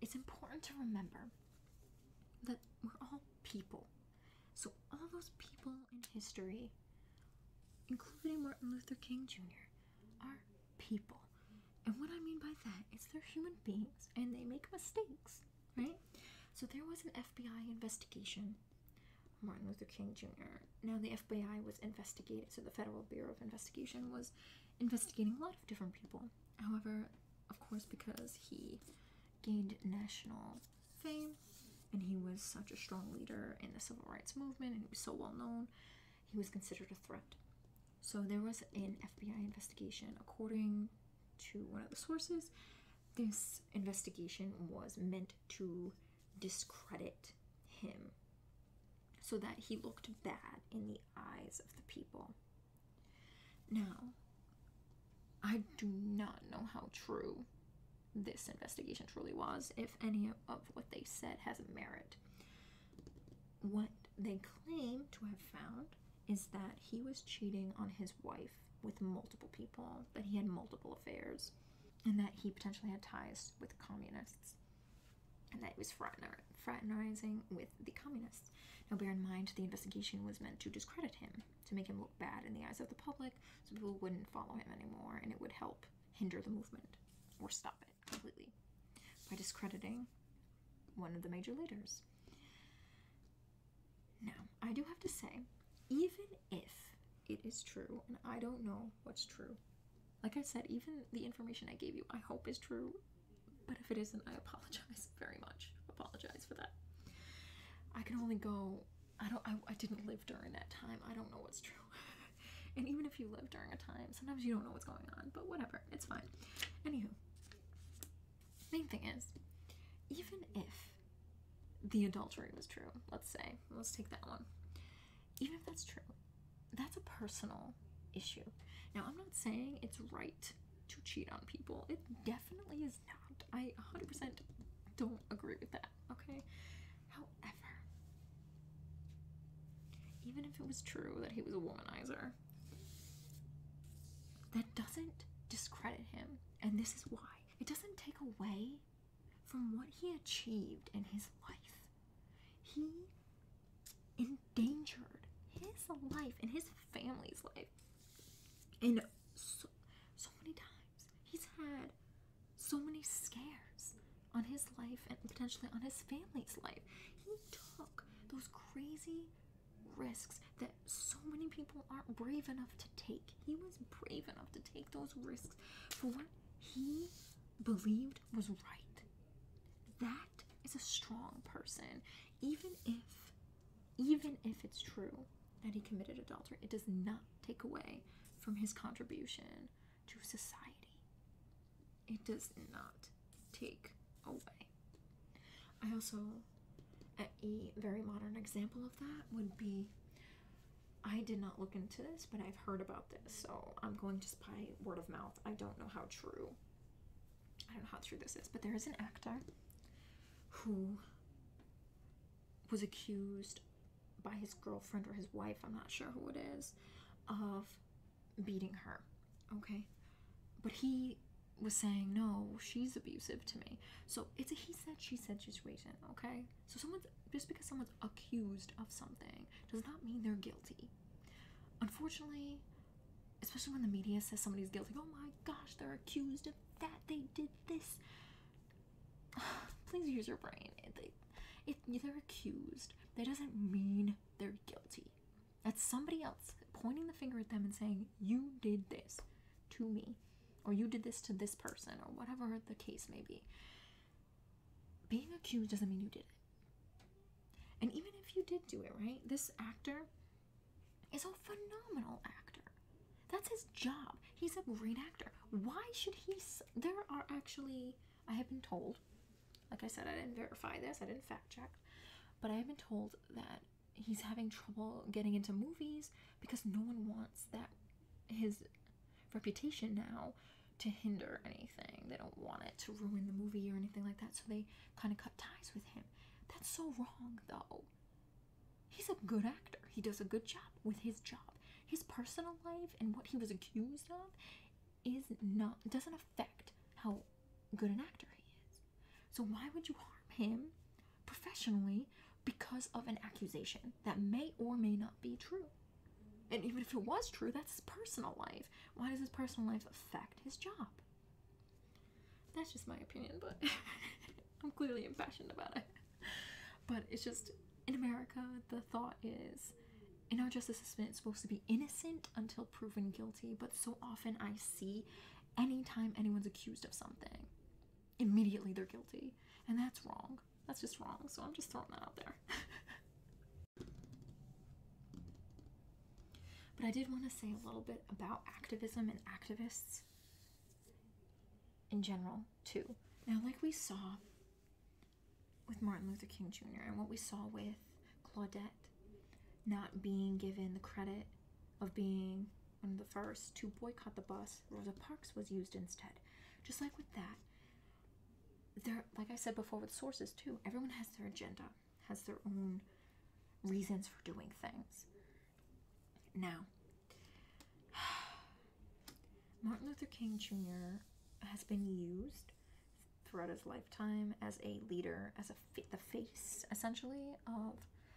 it's important to remember that we're all people. So all those people in history, including Martin Luther King Jr., are people. And what I mean by that is they're human beings and they make mistakes, right? So there was an FBI investigation. Martin Luther King Jr. Now, the FBI was investigating, so the Federal Bureau of Investigation was investigating a lot of different people. However, of course, because he gained national fame and he was such a strong leader in the civil rights movement and he was so well known, he was considered a threat. So there was an FBI investigation. According to one of the sources, this investigation was meant to discredit him so that he looked bad in the eyes of the people. Now, I do not know how true this investigation truly was, if any of what they said has merit. What they claim to have found is that he was cheating on his wife with multiple people, that he had multiple affairs, and that he potentially had ties with communists, and that he was fraternizing with the communists. Now, bear in mind, the investigation was meant to discredit him, to make him look bad in the eyes of the public, so people wouldn't follow him anymore, and it would help hinder the movement or stop it completely by discrediting one of the major leaders. Now, I do have to say, even if it is true, and I don't know what's true, like I said, even the information I gave you, I hope is true, but if it isn't, I apologize very much. Apologize for that. I can only go. I don't. I, I didn't live during that time. I don't know what's true. and even if you live during a time, sometimes you don't know what's going on, but whatever, it's fine. Anywho, main thing is, even if the adultery was true, let's say, let's take that one, even if that's true, that's a personal issue. Now, I'm not saying it's right to cheat on people, it definitely is not. I 100% don't agree with that, okay? However, even if it was true that he was a womanizer, that doesn't discredit him. And this is why it doesn't take away from what he achieved in his life. He endangered his life and his family's life. And so, so many times he's had so many scares on his life and potentially on his family's life. He took those crazy risks that so many people aren't brave enough to take. He was brave enough to take those risks for what he believed was right. That is a strong person, even if even if it's true that he committed adultery, it does not take away from his contribution to society. It does not take away. I also, a very modern example of that would be I did not look into this, but I've heard about this, so I'm going just by word of mouth. I don't know how true. I don't know how true this is, but there is an actor who was accused by his girlfriend or his wife, I'm not sure who it is, of beating her. Okay? But he was saying, no, she's abusive to me. So it's a he said, she said situation, okay? So someone's just because someone's accused of something does not mean they're guilty. Unfortunately, especially when the media says somebody's guilty, oh my gosh, they're accused of that, they did this. Please use your brain. If they're accused, that doesn't mean they're guilty. That's somebody else pointing the finger at them and saying, You did this to me, or you did this to this person, or whatever the case may be. Being accused doesn't mean you did it. And even if you did do it, right? This actor is a phenomenal actor. That's his job. He's a great actor. Why should he? There are actually, I have been told, like I said, I didn't verify this, I didn't fact check, but I have been told that he's having trouble getting into movies because no one wants that his reputation now to hinder anything. They don't want it to ruin the movie or anything like that, so they kind of cut ties with him. That's so wrong, though. He's a good actor. He does a good job with his job. His personal life and what he was accused of is not doesn't affect how good an actor he is. So why would you harm him professionally because of an accusation that may or may not be true? And even if it was true, that's his personal life. Why does his personal life affect his job? That's just my opinion, but I'm clearly impassioned about it. But it's just in America, the thought is in our justice system, it's supposed to be innocent until proven guilty, but so often I see anytime anyone's accused of something, immediately they're guilty. And that's wrong. That's just wrong. So I'm just throwing that out there. but I did want to say a little bit about activism and activists in general, too. Now, like we saw with Martin Luther King Jr. and what we saw with Claudette not being given the credit of being one of the first to boycott the bus, Rosa Parks was used instead. Just like with that, there, like I said before with sources too, everyone has their agenda, has their own reasons for doing things. Now, Martin Luther King Jr. has been used throughout his lifetime as a leader, as a the face essentially of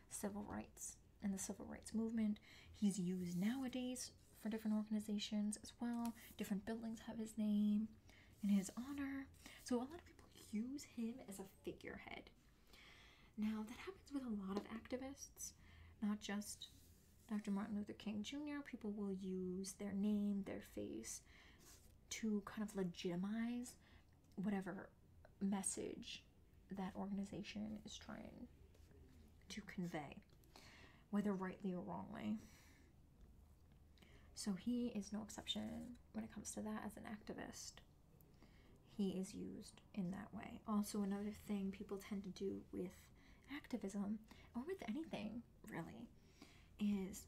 civil rights and the civil rights movement. He's used nowadays for different organizations as well. Different buildings have his name in his honor. So a lot of people use him as a figurehead. Now that happens with a lot of activists, not just Dr. Martin Luther King Jr., people will use their name, their face to kind of legitimize whatever message that organization is trying to convey, whether rightly or wrongly. So he is no exception when it comes to that as an activist. He is used in that way. Also, another thing people tend to do with activism or with anything really is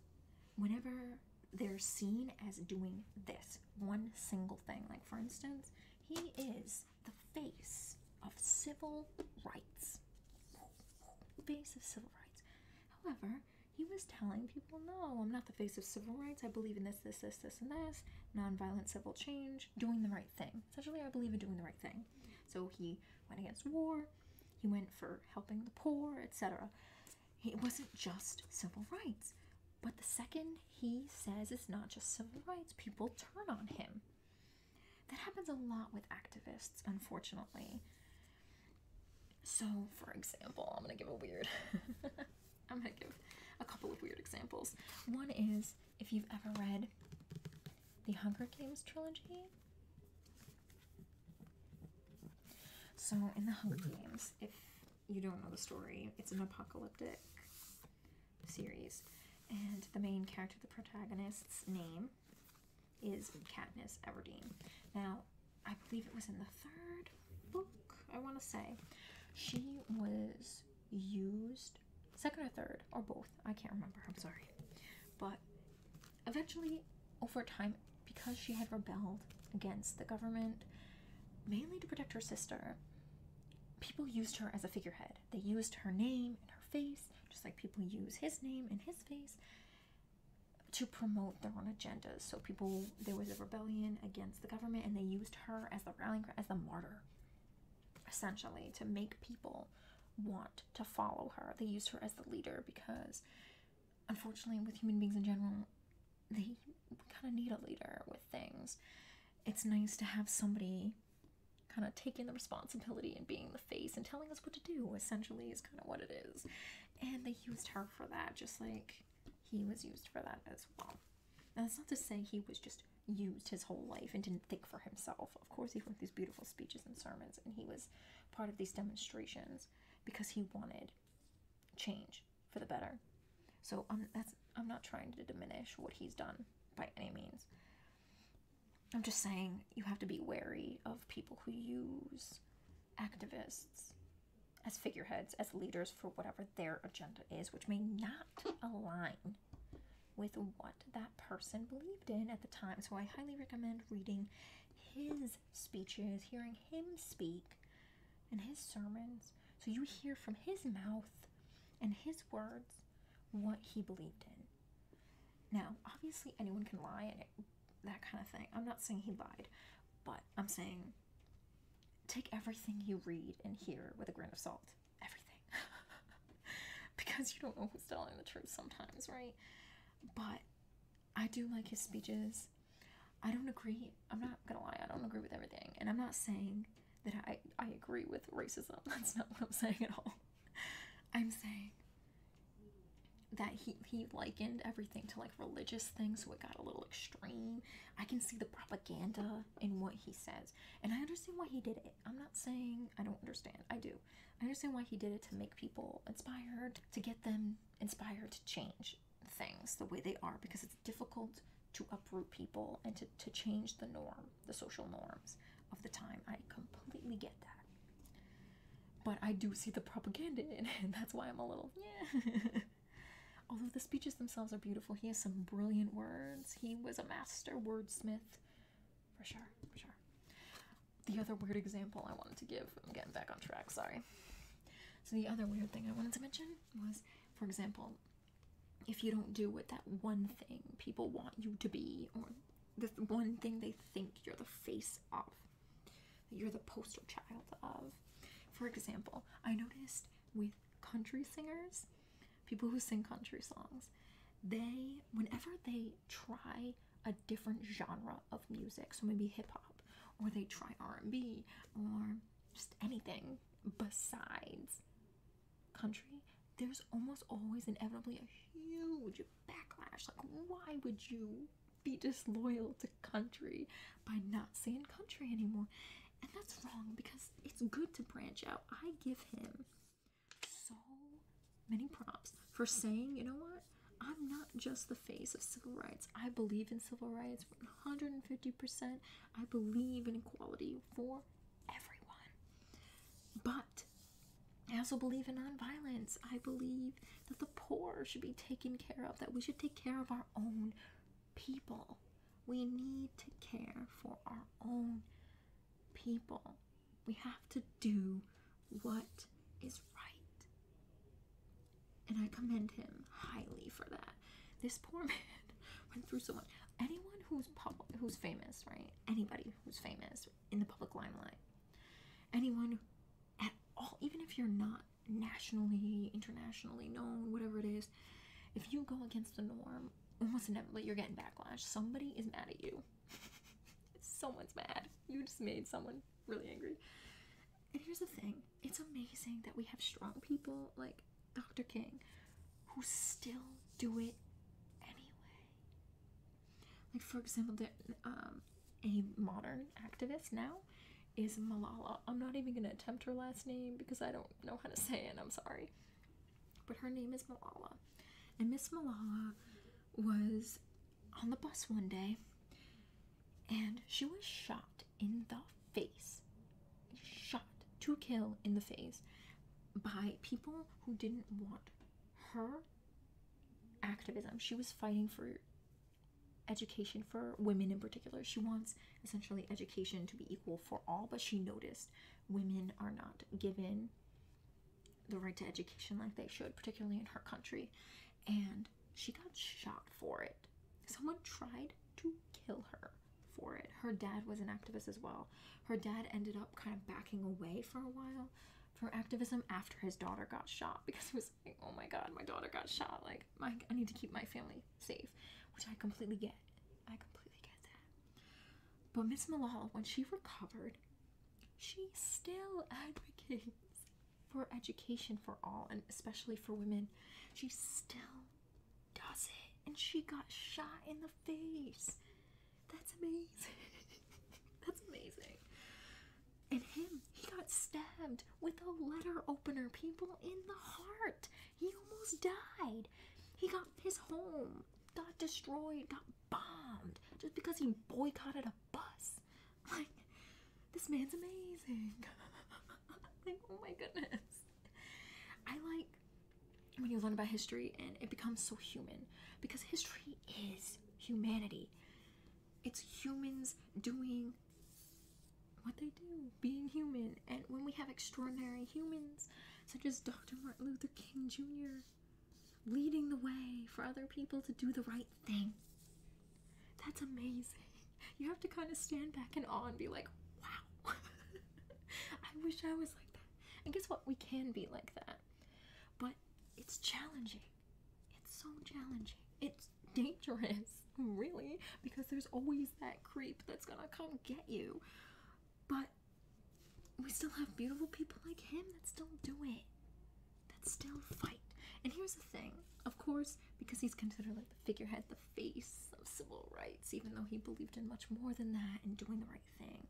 whenever they're seen as doing this one single thing, like for instance, he is the face of civil rights. Face of civil rights. However, he was telling people, no, I'm not the face of civil rights. I believe in this, this, this, this, and this. Nonviolent civil change, doing the right thing. Essentially, I believe in doing the right thing. So he went against war, he went for helping the poor, etc. It wasn't just civil rights. But the second he says it's not just civil rights, people turn on him. That happens a lot with activists, unfortunately. So, for example, I'm going to give a weird. I'm going to give a couple of weird examples. One is if you've ever read the Hunger Games trilogy. So, in the Hunger Games, if you don't know the story, it's an apocalyptic series, and the main character, the protagonist's name, is Katniss Everdeen. Now, I believe it was in the third book, I want to say. She was used, second or third, or both, I can't remember, I'm sorry. But Eventually, over time, because she had rebelled against the government, mainly to protect her sister, people used her as a figurehead. They used her name and her face, just like people use his name and his face, to promote their own agendas. So people, there was a rebellion against the government, and they used her as the rallying as the martyr, essentially, to make people want to follow her. They used her as the leader because, unfortunately, with human beings in general, they kind of need a leader with things. It's nice to have somebody kind of taking the responsibility and being the face and telling us what to do, essentially, is kind of what it is. And they used her for that, just like he was used for that as well. that's not to say he was just used his whole life and didn't think for himself. Of course, he wrote these beautiful speeches and sermons, and he was part of these demonstrations because he wanted change for the better. So um, I'm, not trying to diminish what he's done by any means. I'm just saying you have to be wary of people who use activists as figureheads, as leaders for whatever their agenda is, which may not align with what that person believed in at the time. So I highly recommend reading his speeches, hearing him speak and his sermons. So you hear from his mouth and his words what he believed in. Now, obviously, anyone can lie and that kind of thing. I'm not saying he lied, but I'm saying take everything you read and hear with a grain of salt. Everything. because you don't know who's telling the truth sometimes, right? but I do like his speeches. I don't agree. I'm not gonna lie. I don't agree with everything, and I'm not saying that I I agree with racism. That's not what I'm saying at all. I'm saying that he he likened everything to like religious things, so it got a little extreme. I can see the propaganda in what he says, and I understand why he did it. I'm not saying I don't understand. I do. I understand why he did it to make people inspired, to get them inspired to change things the way they are, because it's difficult to uproot people and to, to change the norm, the social norms of the time. I completely get that. But I do see the propaganda in it, and that's why I'm a little, yeah. Although the speeches themselves are beautiful, he has some brilliant words. He was a master wordsmith. For sure, for sure. The other weird example I wanted to give, I'm getting back on track, sorry. So, the other weird thing I wanted to mention was, for example, if you don't do what that one thing people want you to be, or the one thing they think you're the face of, you're the poster child of. For example, I noticed with country singers, people who sing country songs, they, whenever they try a different genre of music so maybe hip-hop or they try r&b or just anything besides country there's almost always inevitably a huge backlash like why would you be disloyal to country by not saying country anymore and that's wrong because it's good to branch out i give him so many prompts for saying, you know what? I'm not just the face of civil rights. I believe in civil rights 150%. I believe in equality for everyone. But I also believe in nonviolence. I believe that the poor should be taken care of, that we should take care of our own people. We need to care for our own people. We have to do what is right. And I commend him highly for that. This poor man went through so much. Anyone who's public, who's famous, right? Anybody who's famous in the public limelight. Anyone at all, even if you're not nationally, internationally known, whatever it is, if you go against the norm, almost inevitably you're getting backlash. Somebody is mad at you. Someone's mad. You just made someone really angry. And here's the thing it's amazing that we have strong people like Dr. King who still do it anyway. Like, for example, the, um, a modern activist now is Malala. I'm not even going to attempt her last name because I don't know how to say it, I'm sorry. But her name is Malala. And Miss Malala was on the bus one day and she was shot in the face. Shot to kill in the face by people who didn't want her activism. She was fighting for education for women in particular. She wants essentially education to be equal for all, but she noticed women are not given the right to education like they should, particularly in her country. And she got shot for it. Someone tried to kill her for it. Her dad was an activist as well. Her dad ended up kind of backing away for a while from activism after his daughter got shot because he was like, oh my god, my daughter got shot. Like, my, I need to keep my family safe, which I completely get. I completely get that. But Miss Malala, when she recovered, she still advocates for education for all and especially for women. She still does it and she got shot in the face. That's amazing. That's amazing. And him, he got stabbed with a letter opener, people in the heart. He almost died. He got his home, got destroyed, got bombed just because he boycotted a bus. Like, this man's amazing. like, oh my goodness. I like when you learn about history and it becomes so human because history is humanity. It's humans doing what they do, being human. And when we have extraordinary humans, such as Dr. Martin Luther King Jr., leading the way for other people to do the right thing. That's amazing. You have to kind of stand back and awe and be like, wow. I wish I was like that. And guess what? We can be like that. But it's challenging. It's so challenging. It's dangerous, really, because there's always that creep that's gonna come get you. But we still have beautiful people like him that still do it that still fight. And here's the thing, of course, because he's considered like the figurehead, the face of civil rights, even though he believed in much more than that and doing the right thing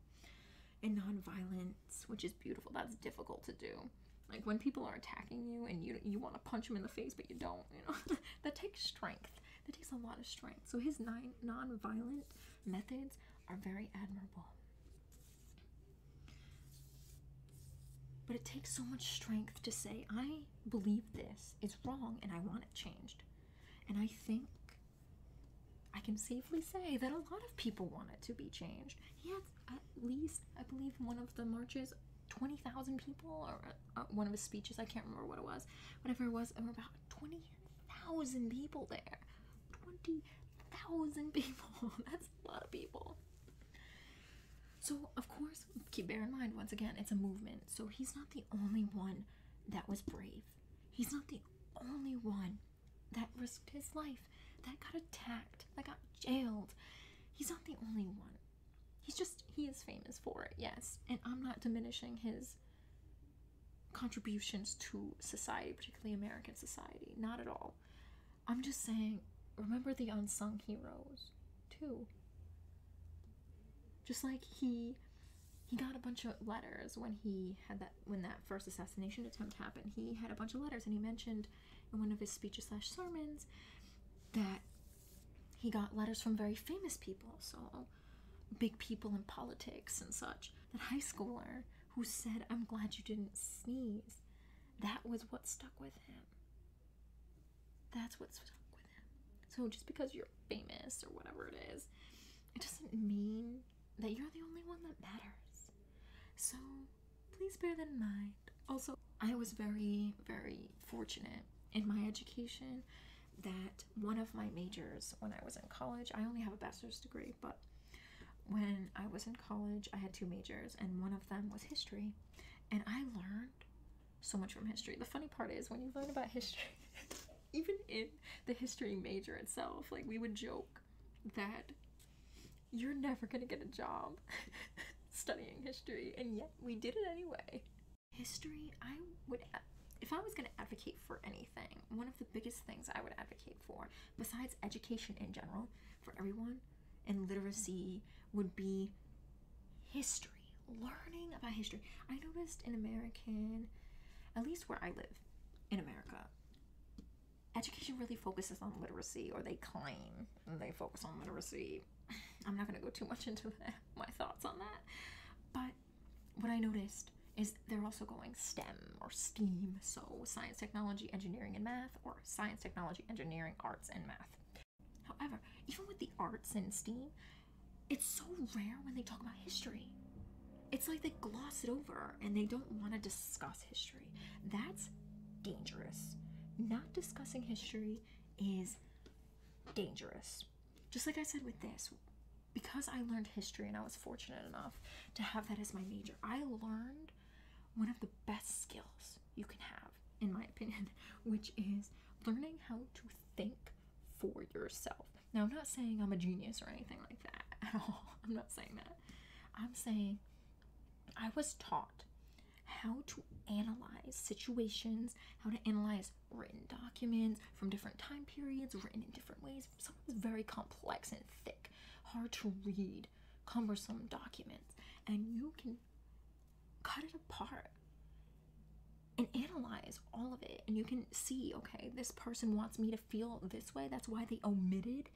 and nonviolence, which is beautiful. That's difficult to do. Like when people are attacking you and you you want to punch them in the face, but you don't, you know, that takes strength. That takes a lot of strength. So his nine nonviolent methods are very admirable. But it takes so much strength to say, I believe this is wrong and I want it changed. And I think I can safely say that a lot of people want it to be changed. Yes, at least, I believe one of the marches, 20,000 people, or uh, one of his speeches, I can't remember what it was, whatever it was, there were about 20,000 people there. 20,000 people. That's a lot of people. So, of course, keep bear in mind once again, it's a movement. So, he's not the only one that was brave. He's not the only one that risked his life, that got attacked, that got jailed. He's not the only one. He's just, he is famous for it, yes. And I'm not diminishing his contributions to society, particularly American society, not at all. I'm just saying, remember the unsung heroes too. Just like he he got a bunch of letters when he had that when that first assassination attempt happened. He had a bunch of letters and he mentioned in one of his speeches slash sermons that he got letters from very famous people, so big people in politics and such. That high schooler who said, I'm glad you didn't sneeze that was what stuck with him. That's what stuck with him. So just because you're famous or whatever it is, it doesn't mean that you're the only one that matters. So please bear that in mind. Also, I was very, very fortunate in my education that one of my majors when I was in college, I only have a bachelor's degree, but when I was in college, I had two majors, and one of them was history. And I learned so much from history. The funny part is, when you learn about history, even in the history major itself, like we would joke that you're never gonna get a job studying history, and yet we did it anyway. History, I would if I was going to advocate for anything, one of the biggest things I would advocate for, besides education in general, for everyone and literacy would be history, learning about history. I noticed in American, at least where I live in America, education really focuses on literacy, or they claim they focus on literacy. I'm not going to go too much into my thoughts on that. But what I noticed is they're also going STEM or STEAM, so science, technology, engineering, and math, or science, technology, engineering, arts, and math. However, even with the arts and STEAM, it's so rare when they talk about history. It's like they gloss it over and they don't want to discuss history. That's dangerous. Not discussing history is dangerous. Just like I said with this, because I learned history and I was fortunate enough to have that as my major, I learned one of the best skills you can have, in my opinion, which is learning how to think for yourself. Now, I'm not saying I'm a genius or anything like that at all. I'm not saying that. I'm saying I was taught how to analyze situations, how to analyze written documents from different time periods, written in different ways. Sometimes very complex and thick, hard to read cumbersome documents and you can cut it apart and analyze all of it and you can see okay this person wants me to feel this way that's why they omitted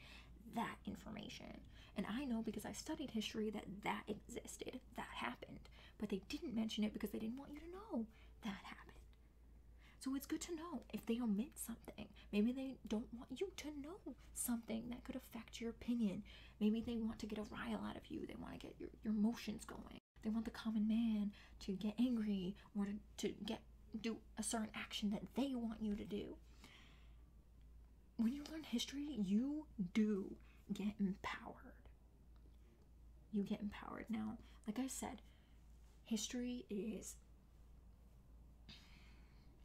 that information and i know because i studied history that that existed that happened but they didn't mention it because they didn't want you to know that happened so it's good to know if they omit something Maybe they don't want you to know something that could affect your opinion. Maybe they want to get a rile out of you. They want to get your, your emotions going. They want the common man to get angry or to, to get do a certain action that they want you to do. When you learn history, you do get empowered. You get empowered. Now, like I said, history is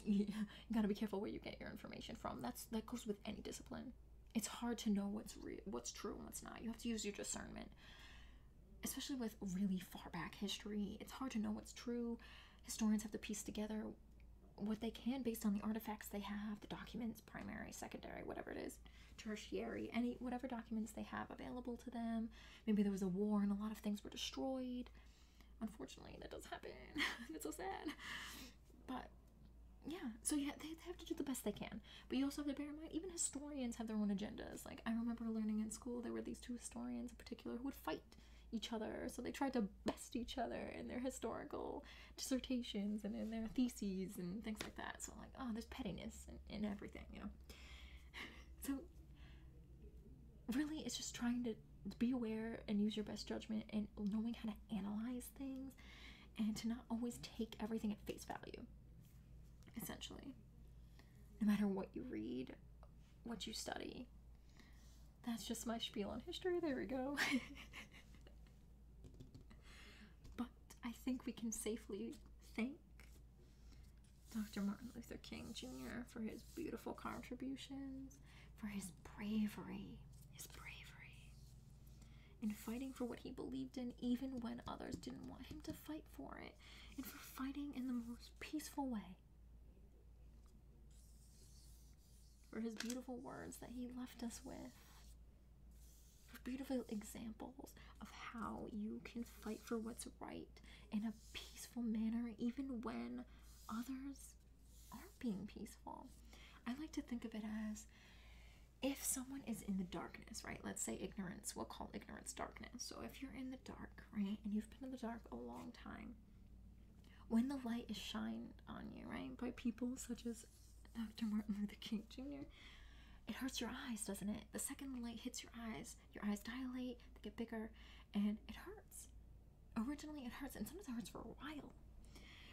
you gotta be careful where you get your information from. That's that goes with any discipline. It's hard to know what's real, what's true, and what's not. You have to use your discernment, especially with really far back history. It's hard to know what's true. Historians have to piece together what they can based on the artifacts they have, the documents, primary, secondary, whatever it is, tertiary, any whatever documents they have available to them. Maybe there was a war and a lot of things were destroyed. Unfortunately, that does happen. it's so sad. But yeah, so yeah, they, have to do the best they can. But you also have to bear in mind, even historians have their own agendas. Like, I remember learning in school, there were these two historians in particular who would fight each other. So they tried to best each other in their historical dissertations and in their theses and things like that. So, like, oh, there's pettiness in, in everything, you know? so, really, it's just trying to be aware and use your best judgment and knowing how to analyze things and to not always take everything at face value essentially no matter what you read what you study that's just my spiel on history there we go but i think we can safely thank dr martin luther king jr for his beautiful contribution for his bravery, his bravery in fighting for what he believed in, even when others didn't want him to fight for it, and for fighting in the most peaceful way. For his beautiful words that he left us with, for beautiful examples of how you can fight for what's right in a peaceful manner, even when others humans are being peaceful. I like to think of it as if someone is in the darkness, right? Let's say ignorance, we'll call ignorance darkness. So if you're in the dark, right, and you've been in the dark a long time, when the light is shined on you, right, by people such as Dr. Martin Luther King Jr., it hurts your eyes, doesn't it? The second the light hits your eyes, your eyes dilate, they get bigger, and it hurts originally it hurts and sometimes it hurts for a while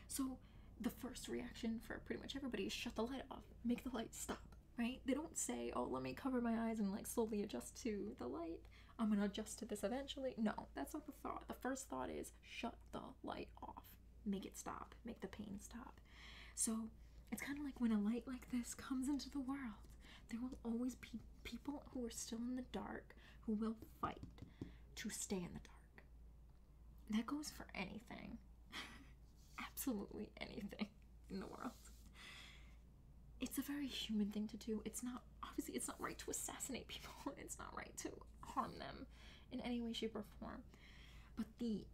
so the first reaction for pretty much everybody is shut the light off make the light stop right they don't say oh let me cover my eyes and like slowly adjust to the light i'm gonna adjust to this eventually no that's not the thought the first thought is shut the light off make it stop make the pain stop so it's kind of like when a light like this comes into the world there will always be people who are still in the dark who will fight to stay in the dark. That goes for anything. Absolutely anything in the world. It's a very human thing to do. It's not, obviously, it's not right to assassinate people, it's not right to harm them in any way, shape, or form. But the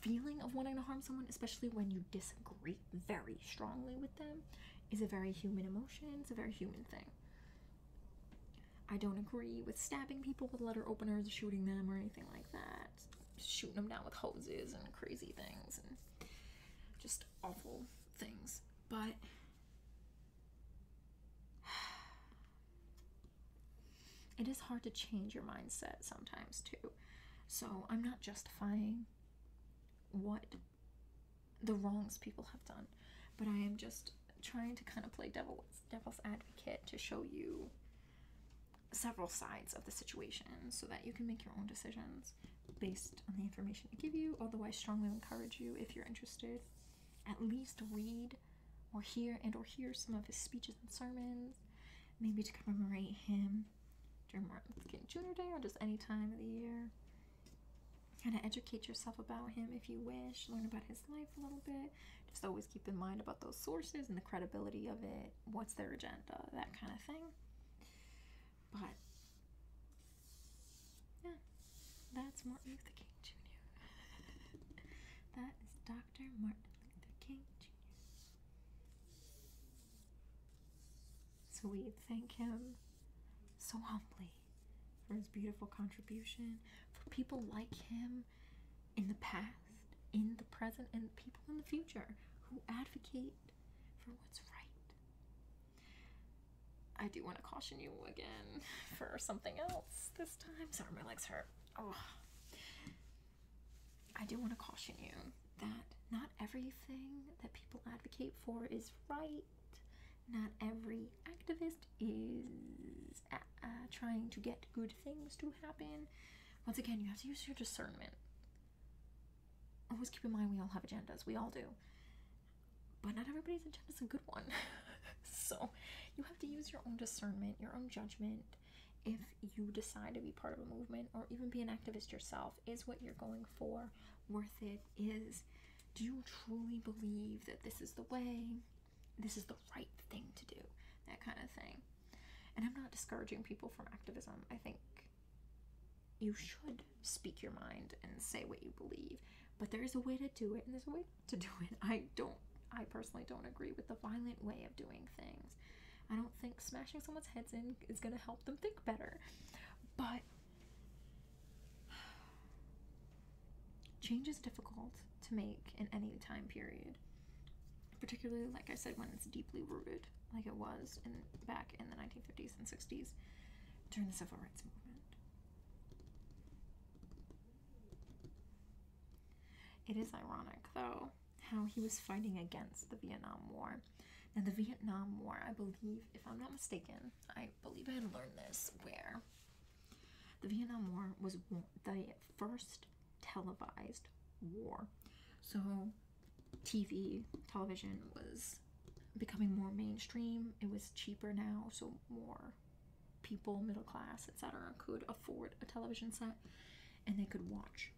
feeling of wanting to harm someone, especially when you disagree very strongly with them, is a very human emotion, it's a very human thing. I don't agree with stabbing people with letter openers, shooting them, or anything like that. Shooting them down with hoses and crazy things and just awful things. But it is hard to change your mindset sometimes, too. So I'm not justifying what the wrongs people have done. But I am just trying to kind of play devil's, advocate to show you several sides of the situation so that you can make your own decisions based on the information I give you. Although I strongly encourage you, if you're interested, at least read or hear and or hear some of his speeches and sermons, maybe to commemorate him during Martin Luther King Jr. Day or just any time of the year kind of educate yourself about him if you wish, learn about his life a little bit. Just always keep in mind about those sources and the credibility of it, what's their agenda, that kind of thing. But yeah, that's Martin Luther King Jr. that is Dr. Martin Luther King Jr. So we thank him so humbly for his beautiful contribution, for people like him in the past, in the present, and people in the future who advocate for what's right. I do want to caution you again for something else this time. Sorry, my legs hurt. Oh. I do want to caution you that not everything that people advocate for is right. Not every activist is uh, uh, trying to get good things to happen. Once again, you have to use your discernment. Always keep in mind we all have agendas, we all do. But not everybody's agenda is a good one. so you have to use your own discernment, your own judgment. If you decide to be part of a movement or even be an activist yourself, is what you're going for worth it? Is do you truly believe that this is the way, this is the right thing to do, that kind of thing. And I'm not discouraging people from activism. I think you should speak your mind and say what you believe, but there is a way to do it, and there's a way to do it. I don't, I personally don't agree with the violent way of doing things. I don't think smashing someone's heads in is going to help them think better. But Change is difficult to make in any time period, particularly, like I said, when it's deeply rooted, like it was back in the 1950s and 60s during the Civil Rights Movement. It is ironic, though, how he was fighting against the Vietnam War. and the Vietnam War, I believe, if I'm not mistaken, I believe I had learned this where the Vietnam War was the first televised war. So TV, television was becoming more mainstream. It was cheaper now, so more people, middle class, etc., could afford a television set and they could watch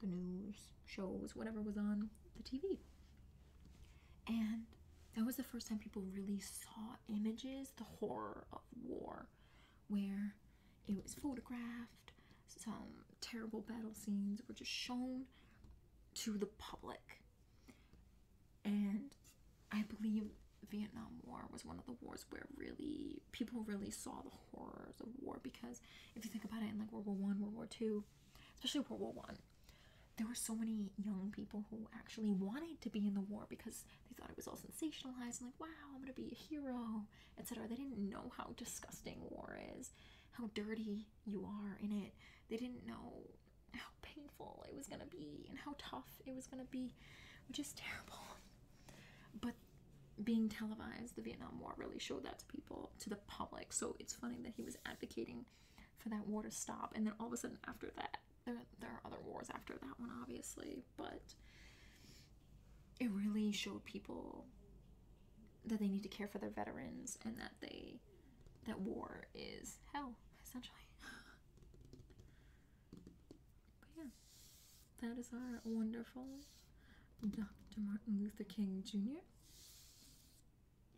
the news, shows, whatever was on the TV and that was the first time people really saw images the horror of war where it was photographed some terrible battle scenes were just shown to the public and i believe vietnam war was one of the wars where really people really saw the horrors of war because if you think about it in like world war one world war two especially world war one there were so many young people who actually wanted to be in the war because they thought it was all sensationalized and like, wow, I'm gonna be a hero, etc. They didn't know how disgusting war is, how dirty you are in it. They didn't know how painful it was gonna be and how tough it was gonna be, which is terrible. But being televised, the Vietnam War really showed that to people, to the public. So it's funny that he was advocating for that war to stop, and then all of a sudden after that, there, there are other wars after that one, obviously, but it really showed people that they need to care for their veterans and that they that war is hell essentially. but yeah, that is our wonderful Dr. Martin Luther King Jr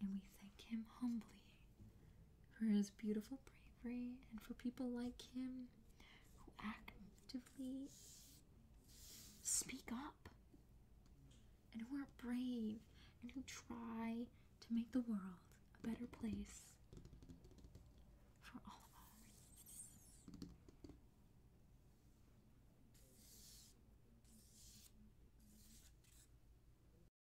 and we thank him humbly for his beautiful bravery and for people like him who actively speak up and who are brave and who try to make the world a better place for all of us.